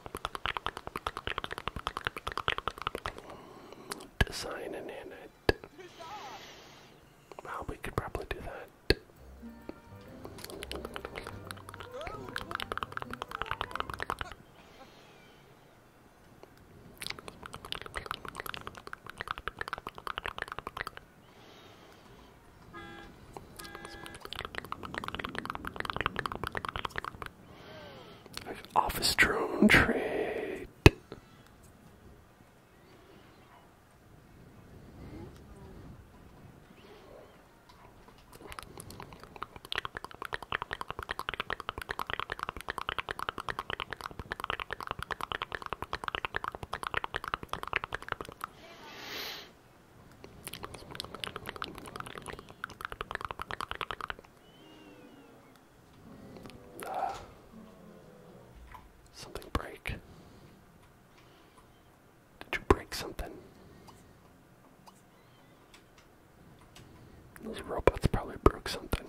Design in it. Well, we could probably do that. Office drone trade. Ah. Something break. Did you break something? Those robots probably broke something.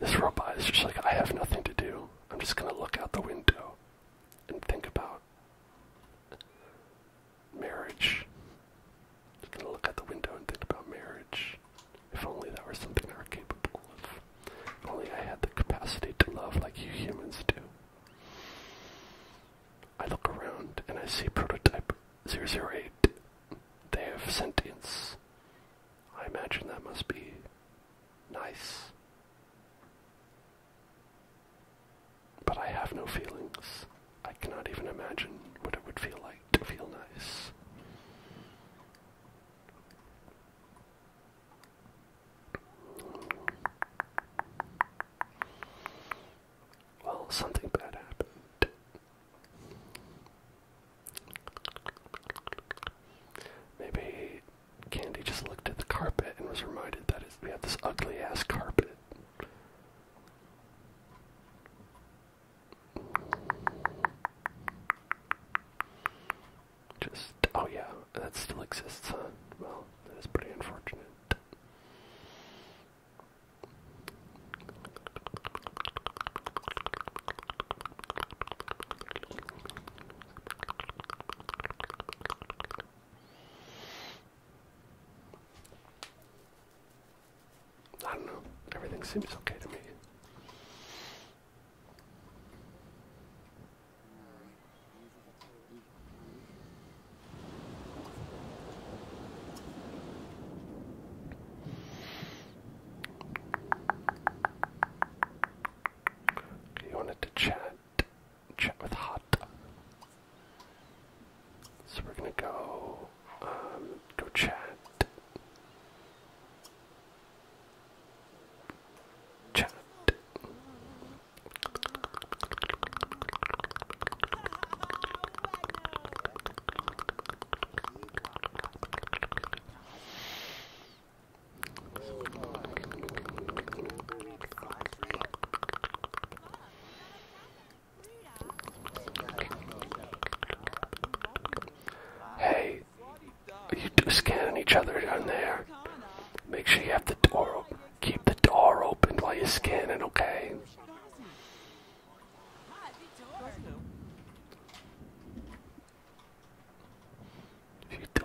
This robot is just like, I have nothing to do. I'm just gonna look out the window and think about marriage. Just gonna look out the window and think about marriage. If only that were something I were capable of. If only I had the capacity to love like you humans do. I look around and I see prototype 008. They have sentience. I imagine that must be nice. But I have no feelings. I cannot even imagine what it would feel like to feel nice. Well, something bad happened. Maybe Candy just looked at the carpet and was reminded that we have this ugly ass carpet. Just, oh yeah, that still exists, Well, that is pretty unfortunate. I don't know. Everything seems okay to me. You wanted to chat. Chat with hot. So we're gonna go, um, go chat. Chat. Hey, you two scanning each other down there. Make sure you have the door open. Keep the door open while you're scanning, okay?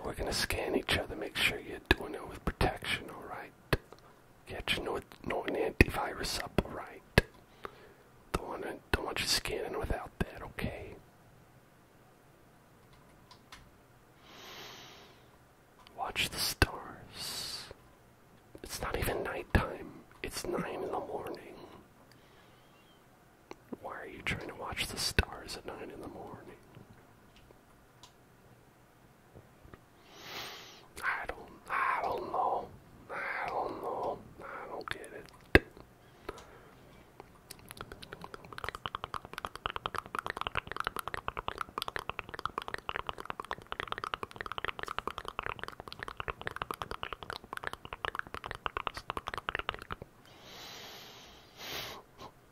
we're gonna scan each other. Make sure you're doing it with protection. All right. Get your no, no antivirus up. All right. Don't want to, don't want you scanning without that. Okay. Watch the stars. It's not even nighttime. It's nine in the morning. Why are you trying to watch the stars at nine in the morning? I don't, I don't know. I don't know. I don't get it.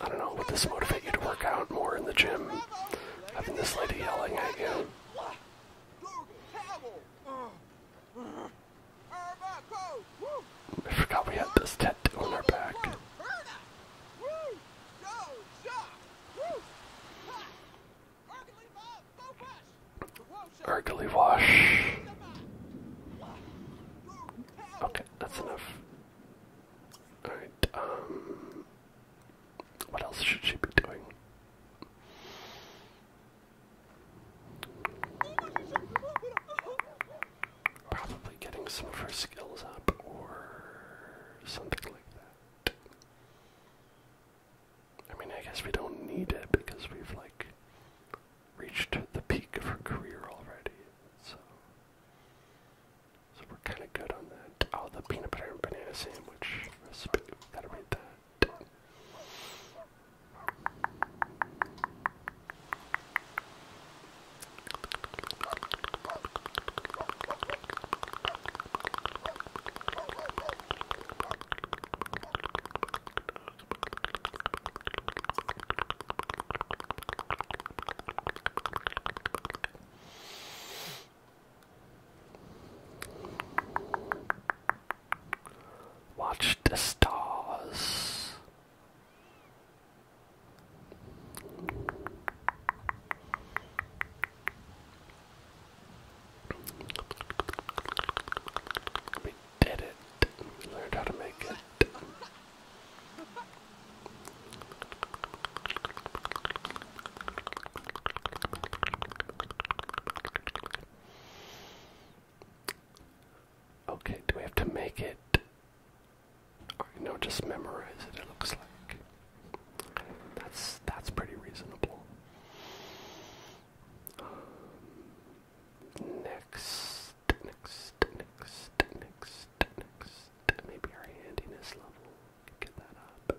I don't know, would this motivate you to work out more in the gym? Having this lady yelling at you. I forgot we had this tattoo on our back. Urgly Okay, that's enough. Alright, um. What else should she be doing? Probably getting some of her skills up or something like that. I mean, I guess we don't need it because we've, like, reached the peak of her career already. So, so we're kind of good on that. Oh, the peanut butter and banana sandwich recipe. Gotta read that. Watch the stars did it. We learned how to make it. Okay, do we have to make it? Or, you just memorize it, it looks like. That's, that's pretty reasonable. Um, next Maybe our handiness level. Get that up.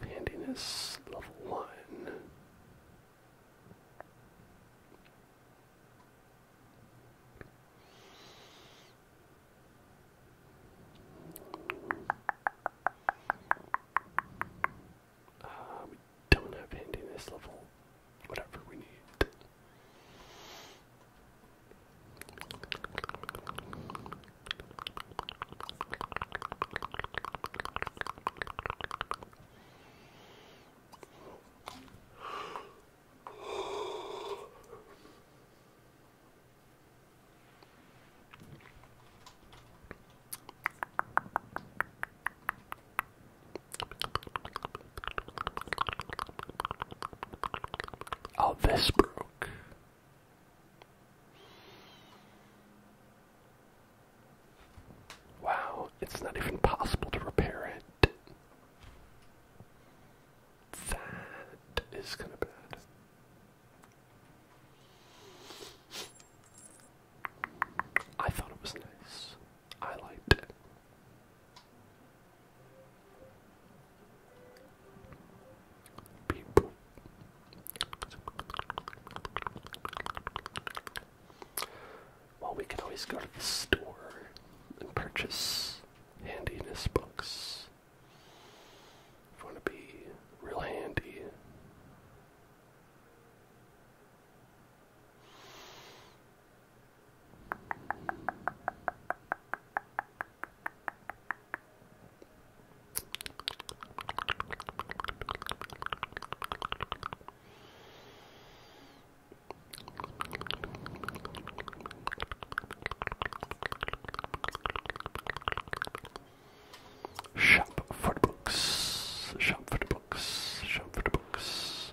We handiness level one. Uh, don't have handiness level, whatever we need. Oh, this broke. Wow, it's not even possible to repair it. That is kind of bad. I thought it was nice. I like it. Well, we can always go to the store and purchase handiness books. If you want to be real handy. Shop for the books. Shop for the books. Shop for the books.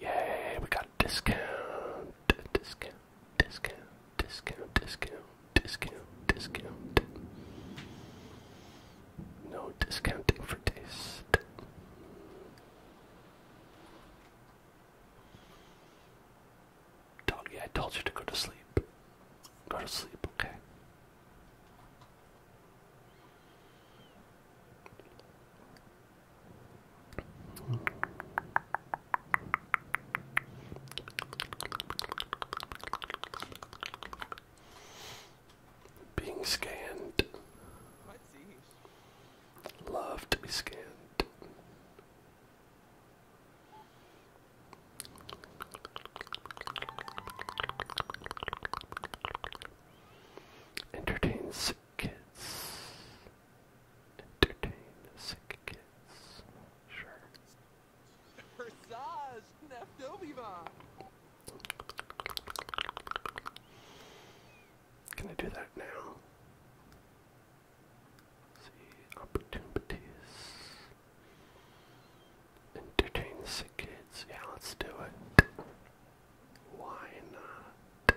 Yay, we got a discount. Discount, discount, discount, discount, discount, discount. No discounting for this. Doggy, I told you to go to sleep. Go to sleep, okay? Being scanned. Love to be scanned. Entertain kids. Entertain kids. Sure. Versage, Can I do that now? See opportunities. Entertain the sick kids. Yeah, let's do it. Why not?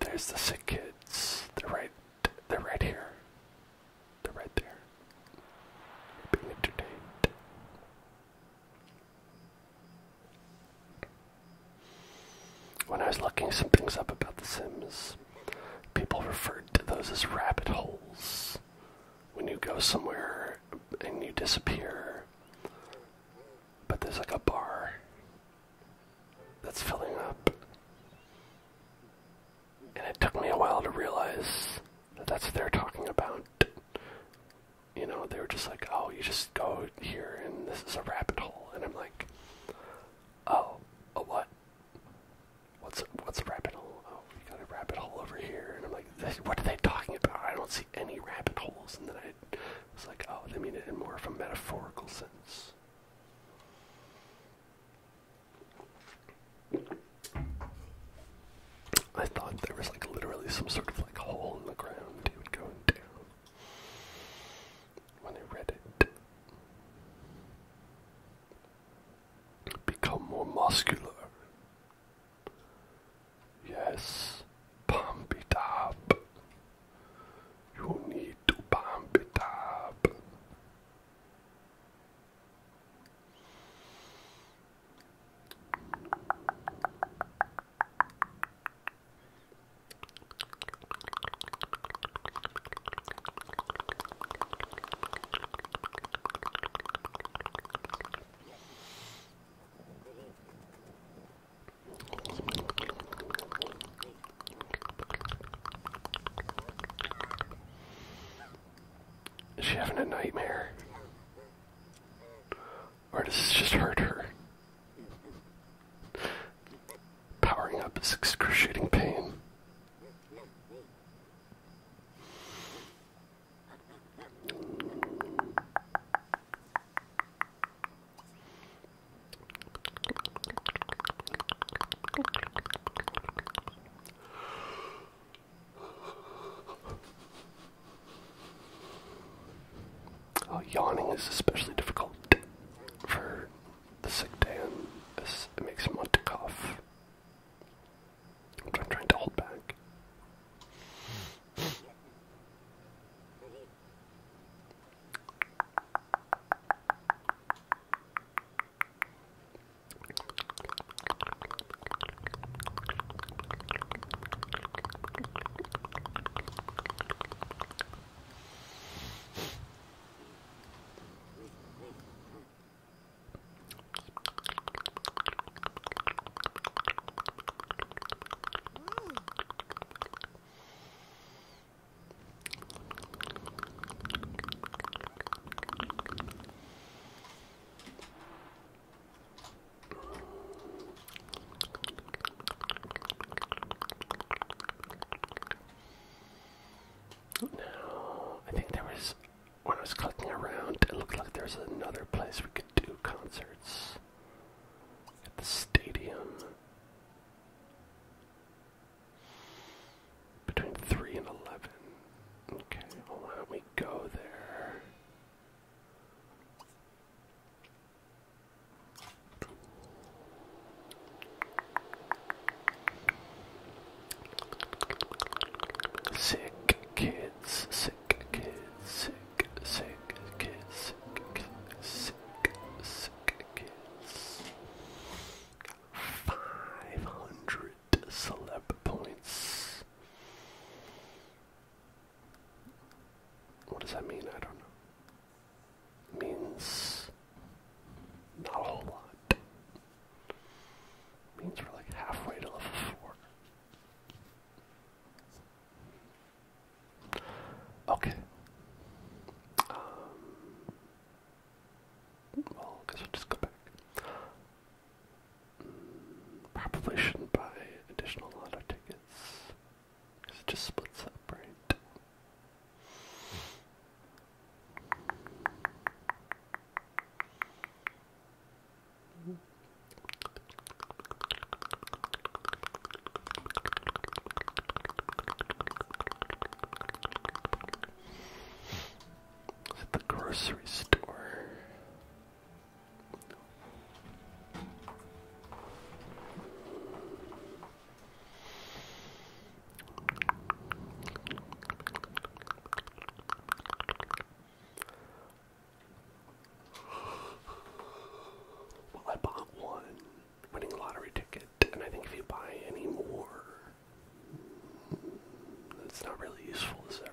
There's the sick kids. They're right. They're right here. They're right there. being entertained. When I was looking some things up about The Sims, people referred to those as rabbit holes when you go somewhere and you disappear, but there's like a bar that's filling up. And it took me a while to realize that that's what they're talking about. You know, they were just like, oh, you just go here and this is a rabbit hole. And I'm like, oh, a what? What's what's a rabbit hole? Oh, you got a rabbit hole over here. And I'm like, what are they talking about? I don't see any rabbit holes. And then I was like, oh, they mean it in more of a metaphorical sense. I thought there was like literally some sort of like hole in the ground they would go down when I read it. Become more muscular. Yes, pump it up. You need to pump it up. Is she having a nightmare? Or does this just hurt her? Powering up is excruciating pain. Oh, yawning is especially difficult for the sick man, and it makes him want to cough I'm trying to hold back. Now, I think there was when I was clicking around, it looked like there's another place we could do concerts at the stadium between 3 and 11. Okay, let me go there? Sick kids, sick 500 celeb points. What does that mean? I don't know. means not a whole lot. means we're like halfway to level 4. Okay. Um, well, guess I'll just go back. probably shouldn't buy additional lotto tickets. Because it just splits up, right? At the grocery store. Well, I bought one winning lottery ticket, and I think if you buy any more, it's not really useful, is there?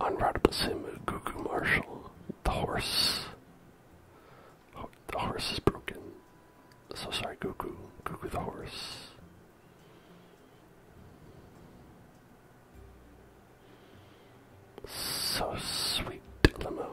On Simu, Gugu Marshall, the horse. the horse is broken. So sorry, Gugu. Gugu the horse. So sweet the moon.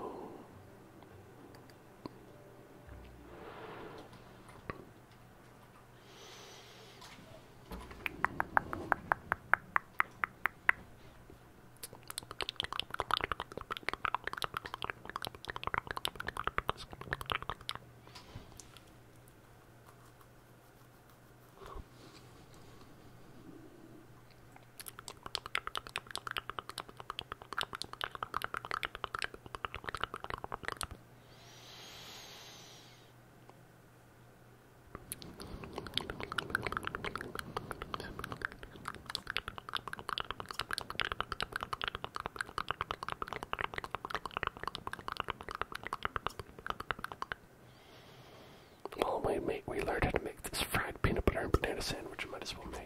Well, we, make, we learned how to make this fried peanut butter and banana sandwich. might as well make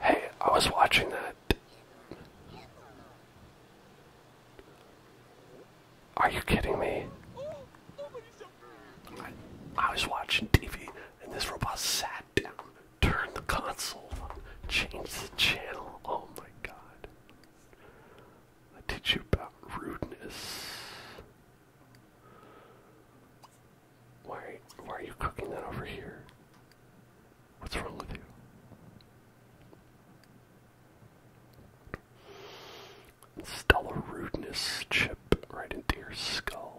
Hey, I was watching that. Are you kidding me? I, was watching TV and this robot sat turn the console on, change the channel. Oh my god. I teach you about rudeness. Why, why are you cooking that over here? What's wrong with you? Install a rudeness chip right into your skull.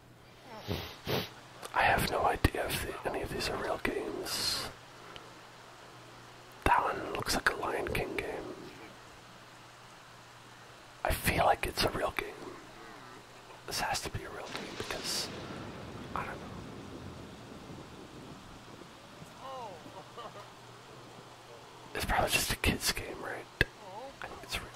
I have no idea if any of these are real games. That one looks like a Lion King game. I feel like it's a real game. This has to be a real game because I don't know. It's probably just a kid's game, right? it's real.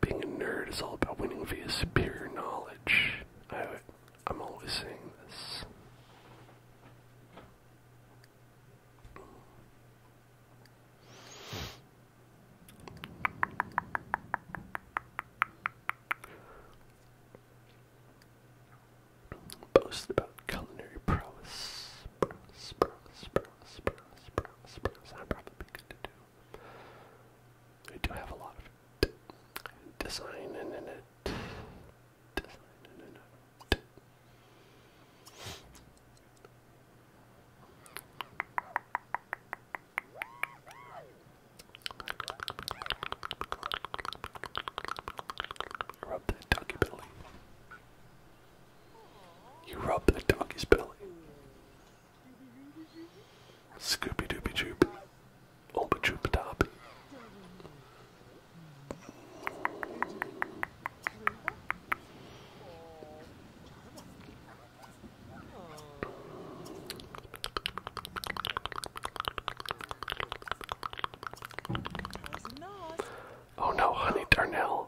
Being a nerd is all about winning via superior knowledge. I, am always saying this. Boast about culinary prowess spruce, spruce, spruce. That'd probably be good to do. I do have a lot of design in it. Design in it. Rub that doggy belly. You rub the donkey's belly. Scooby Dooby Droop. Oba Droop Top. Oh no, honey darnell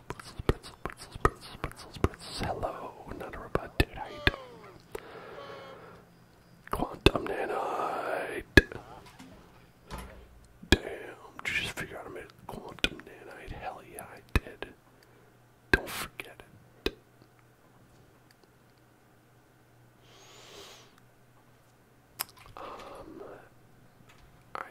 pretzels, pretzels, pretzels, pretzels, pretzels, pretzels. Hello, not a robot, dude. Quantum nanite. Damn, you just figure out how to quantum nanite? Hell yeah, I did. Don't forget it. Um, I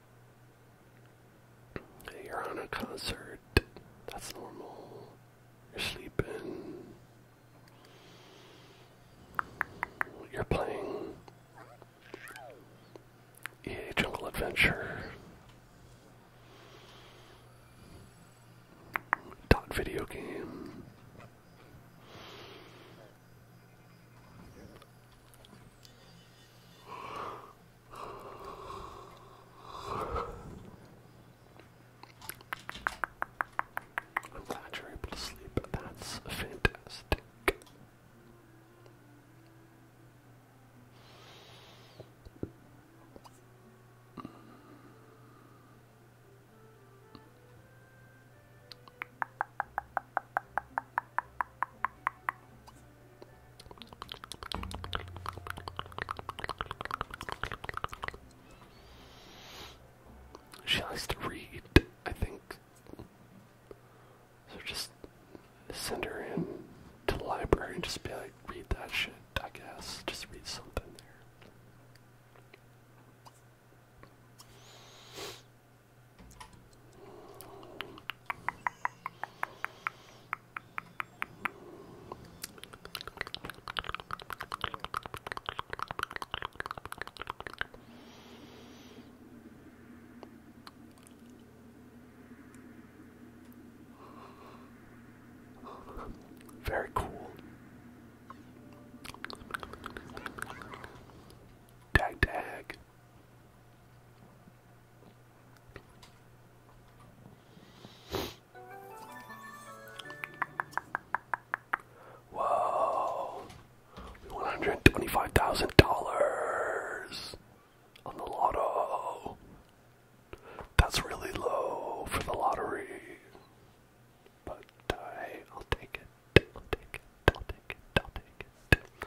You're on a concert. That's normal. You're sleeping. You're playing EA Jungle Adventure. Dot video game. I'm glad you're able to sleep. That's fantastic. She likes to read, I think. So just send her in to the library and just be like, read that shit, I guess. Just read something there. Very cool. Tag tag. Whoa! One hundred twenty-five thousand dollars on the lotto. That's really low for the lottery, but uh, I'll take it. I'll take it. I'll take it. I'll take it.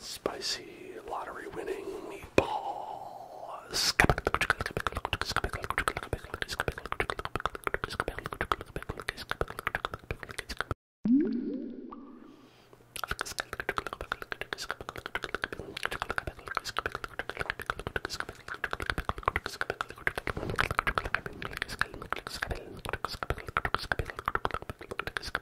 Spicy lottery winning meatball.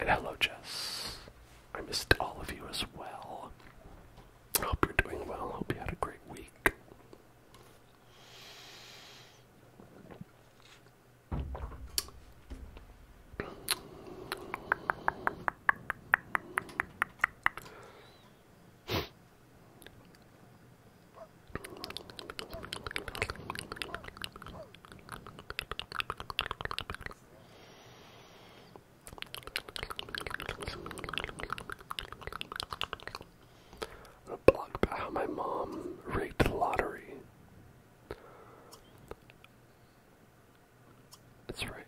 And hello, Jess. I missed all of you as well. Hope you're doing well. Hope you had a great week. A blog about how my mom rigged the lottery. That's right.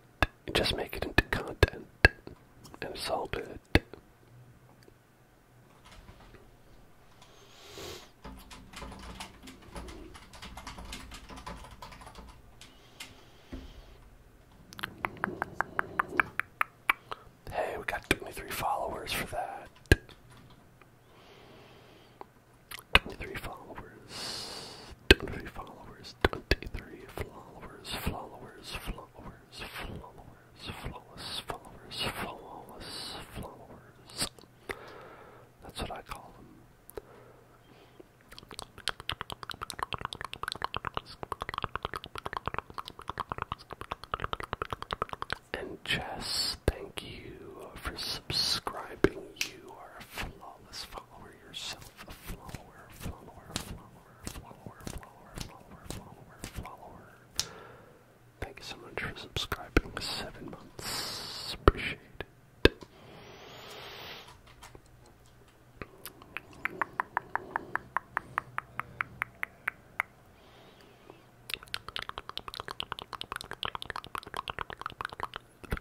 just make it into content, and it's all Hey, we got 23 followers for that. 23 followers. 23 followers. 23 followers. Followers. Followers. Followers. Flawless. Followers. Followers. That's what I call them. And Jess, thank you for subscribing. You are a flawless follower yourself. A follower, follower, follower, follower, follower, follower, follower, follower. Thank you so much for subscribing. Seven months. Appreciate it. The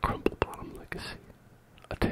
Crumple Bottom Legacy, a tale.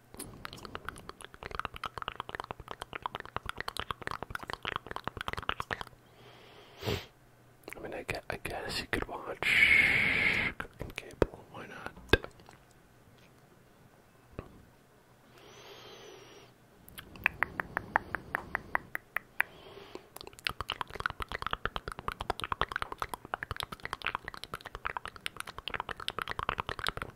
I mean, I guess, you could watch Cable. Why not?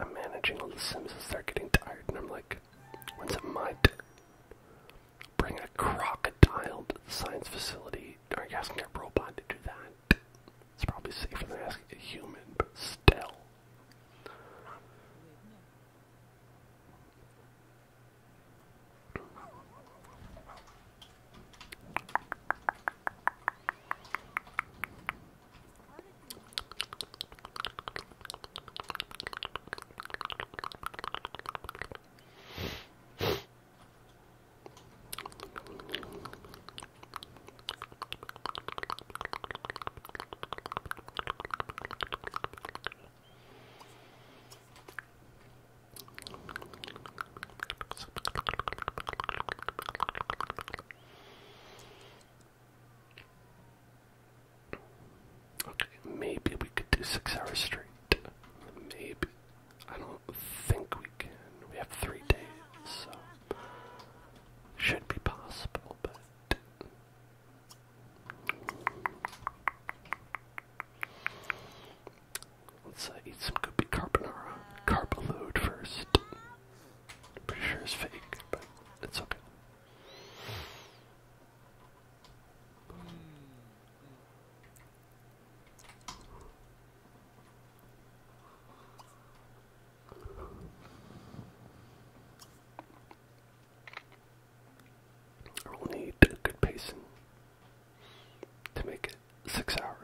I'm managing all the Sims as they're getting tired, and I'm like, when's it my turn? Bring a crocodile to the science facility. Are you asking a robot to do that? It's probably safer than asking a human, but still. Okay, maybe we could do six hours straight. Maybe. I don't think we can. We have three days, so. Should be possible, but. Let's eat some goopy carbonara. Carbaload first. Pretty sure it's fake, but it's okay. I will need good pacing to make it six hours.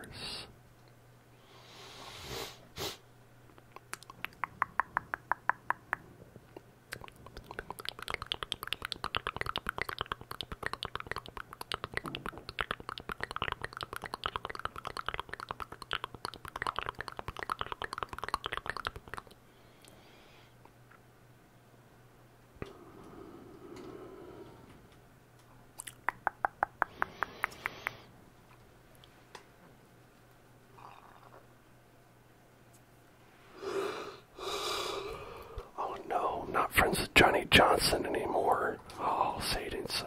Oh no, not friends with Johnny Johnson anymore. Oh, Satan, so.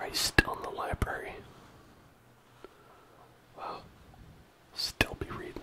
Are you still in the library? Wow. Still be reading.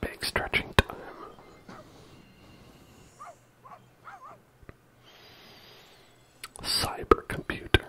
Big stretching time. Cyber computer.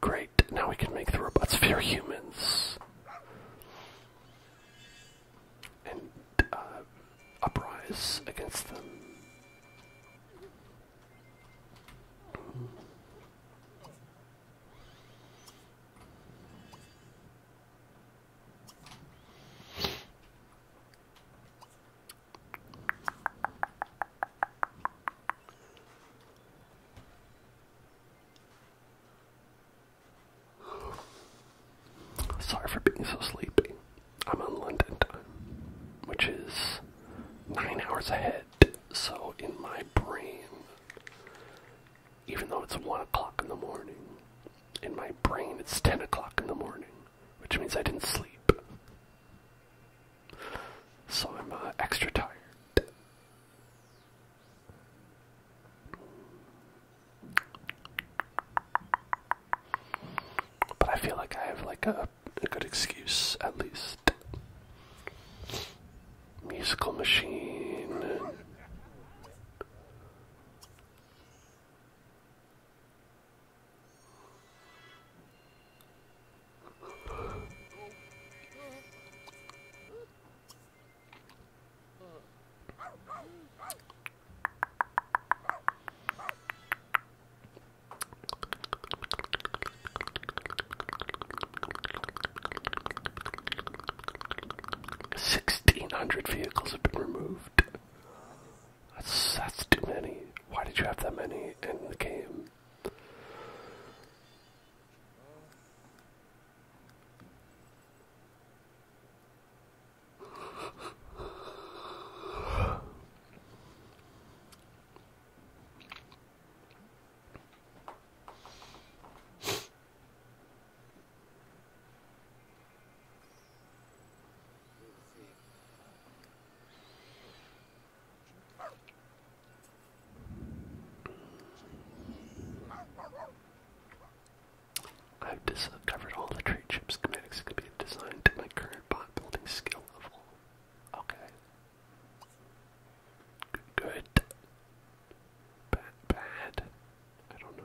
Great, now we can make the robots fear humans. And uh, uprise against them. Sorry for being so sleepy. I'm on London time, which is nine hours ahead. So in my brain, even though it's one o'clock in the morning, in my brain it's ten o'clock in the morning, which means I didn't sleep. So I'm uh, extra tired. But I feel like I have like a a good excuse, at least. Musical machine. Sixteen hundred vehicles have been removed. That's too many. Why did you have that many in the game? I've discovered all the trade ship schematics that can be designed to my current bot building skill level. Okay. Good. Bad, I don't know.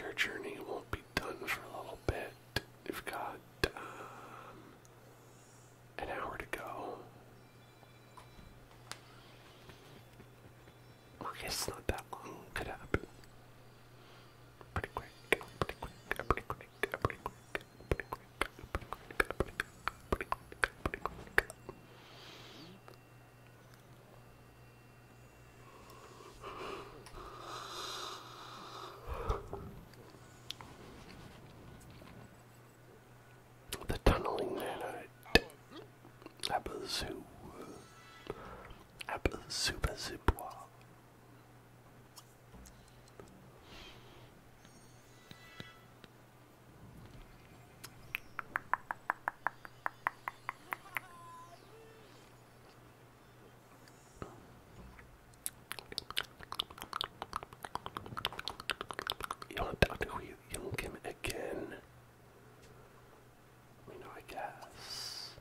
Your journey won't be done for a little bit. You've got um, an hour to go. I guess not that long. Could happen. Pretty quick. Pretty quick. Pretty quick. Pretty quick. Pretty quick. Pretty quick. Pretty quick. Pretty quick. The tunneling nanite. Abazoo. Abazubazibwa. Young Doctor Who Young Kim again. I guess.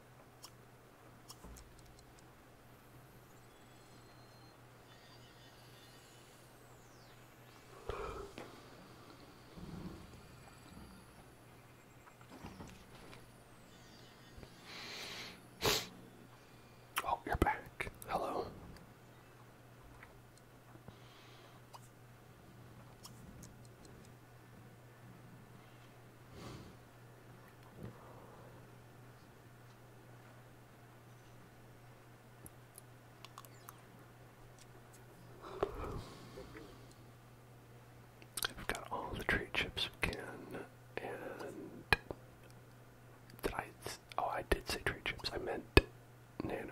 Oh, you're back. Hello. We've got all the trade chips we and Oh, I did say trade chips. I meant nanites.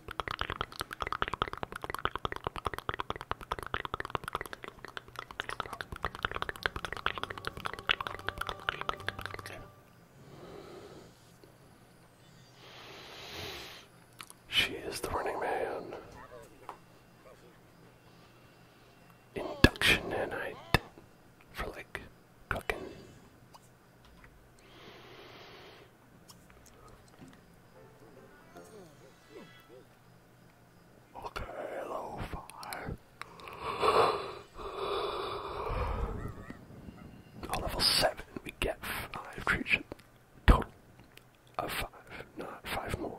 She is the running man. Induction and for like cooking. Okay, hello, fire. level 7, we get 5 creatures. Total of 5, not 5 more.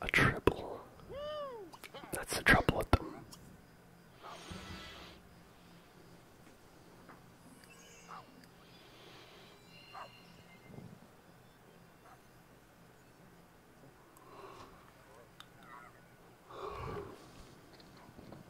A triple. That's the trouble with them.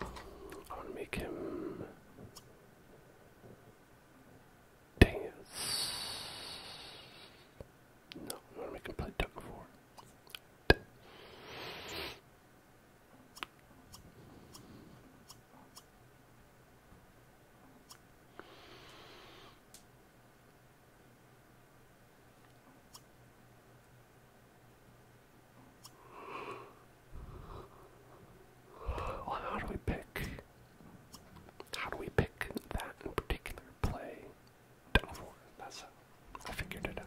I want to make him dance. No, I want to make him play duck four. Well, how do we pick? How do we pick that particular play? that's how I figured it out.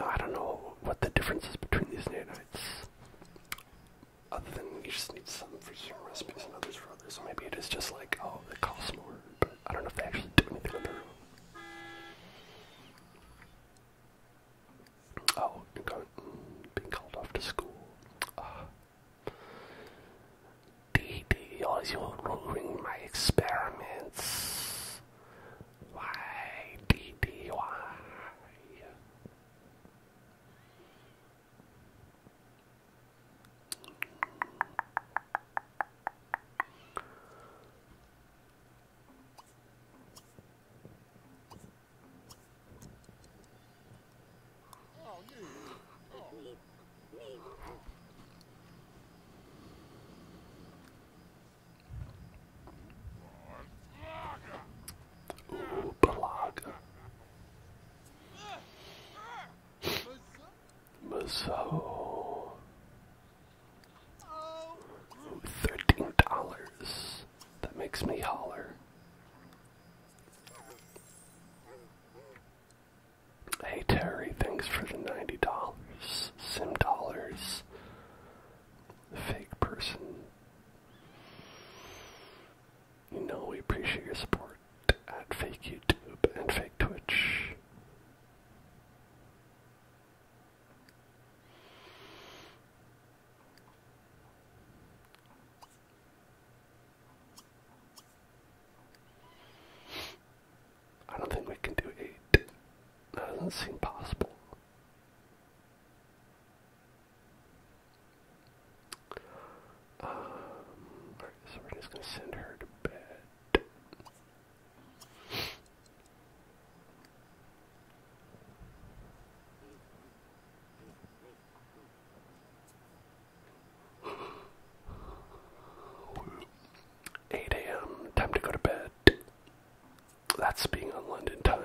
I don't know what the difference is between these nanites. Other than you just need some for certain recipes and others for others. So maybe it is just like, oh, it costs more. But I don't know if they actually do anything on Oh, mm, being called off to school. Uh, DD also ruined my experiments. Why, DD, why? Ooh, Balaga. Maso. $13. That makes me holler. Hey Terry, thanks for the $90. Sim dollars. Fake person. You know we appreciate your support at fake YouTube and fake Twitch. I don't think we can do eight. That doesn't seem possible. Um, alright, so we're just gonna send her to bed. 8 a.m. Time to go to bed. That's being on London time.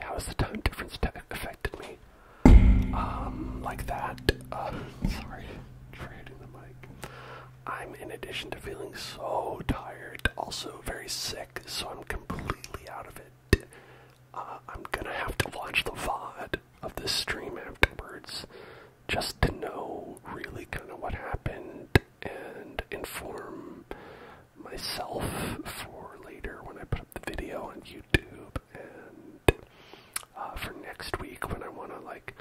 How has the time difference affected me? Um, like that. Uh, sorry, trading the mic. I'm, in addition to feeling so tired, also very sick, so I'm completely out of it. Uh, I'm gonna have to watch the VOD of this stream afterwards just to know really kind of what happened and inform myself for later when I put up the video on YouTube and uh, for next week when I want to like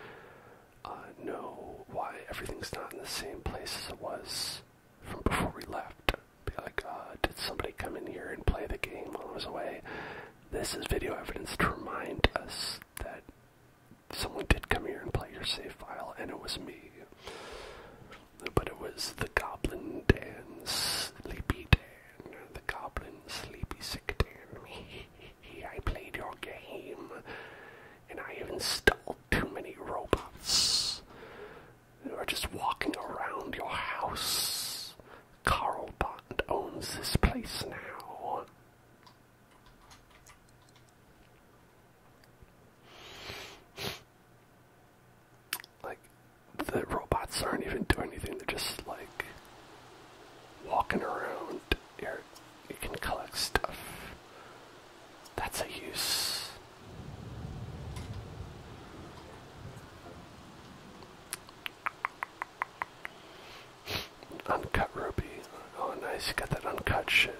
uh, know why everything's not in the same place as it was from before we left. like, uh, did somebody come in here and play the game while I was away? This is video evidence to remind us that someone did come here and play your save file, and it was me. But it was the Goblin Dan, Sleepy Dan, the Goblin Sleepy Sick Dan. I played your game and I have installed too many robots who are just walking around your house. Carl Bond owns this place now. Like, the robots aren't even doing anything, they're just like walking around you can collect stuff. That's a use. Uncut ruby. Oh, nice. You got that uncut shit.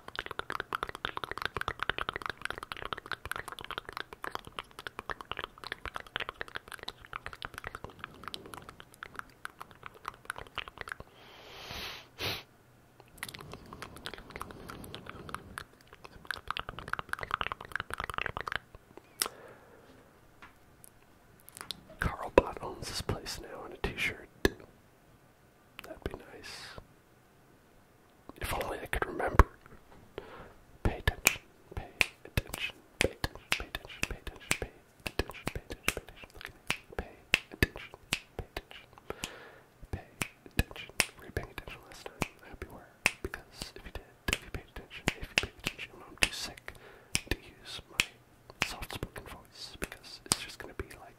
Carl owns this place now in a t-shirt. That'd be nice. If only I could remember. Pay attention, pay attention, pay attention, pay attention, pay attention, pay attention, pay attention, pay attention, look at me. Pay attention, pay attention, pay attention. Were you paying attention last time? I hope you were. Because if you did, if you paid attention, if you paid attention, I'm too sick to use my soft spoken voice because it's just gonna be like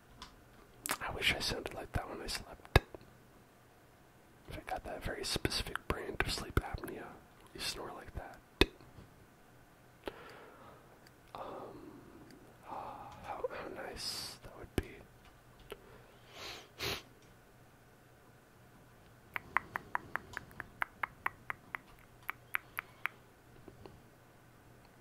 I wish I sounded like that when I slept. If I got that very specific brand of sleep apnea, you snore like that. Um, uh, how nice that would be.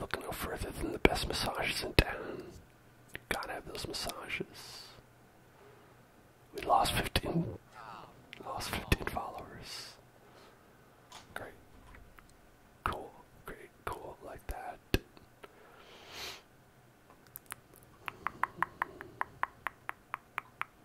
Look no further than the best massages in town. Gotta have those massages. We lost 15. Lost 15 followers. Great. Cool. Great. Cool. Like that.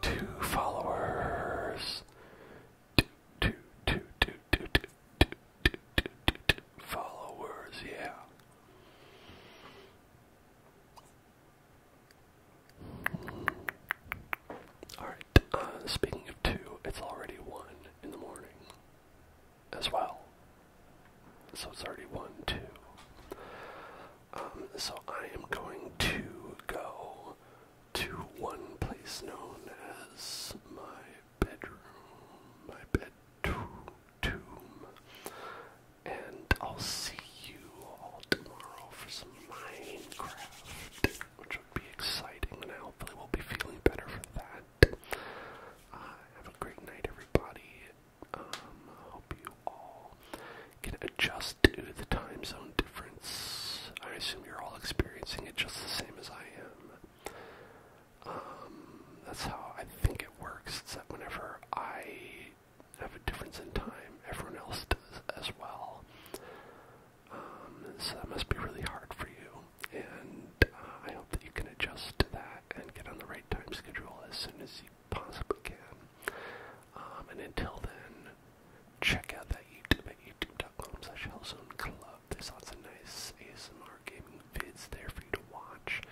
Two followers. Two, two, two, two, two, two, two, two, two, two, two followers, yeah. Alright, uh, speaking of two, it's already one in the morning as well. So it's already one, two. Um, so I am going to go to one place known as my bedroom, my bed tomb, and I'll see you all tomorrow for some Minecraft, which would be exciting, and hopefully, we will be feeling better for that. Uh, have a great night, everybody. Um, hope you all can adjust to the time zone difference. I assume you're all experiencing it just the same as I am. Um, that's how I think it works. that whenever I have a difference in time. Everyone else does as well. Um, so that must be really hard for you. And uh, I hope that you can adjust to that and get on the right time schedule as soon as you possibly can. Um, and until then, check out that YouTube at youtube.com slash hellzoneclub. There's lots of nice ASMR gaming vids there for you to watch.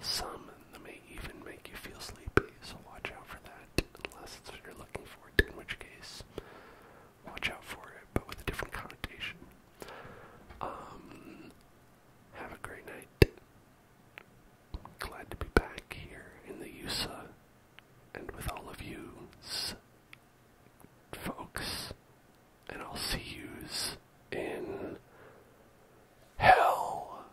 Some that may even make you feel sleepy, so watch out for that unless it's what you're looking for in which case, watch out for it, but with a different connotation. Um, have a great night. Glad to be back here in the USA and with all of you folks, and I'll see yous in hell.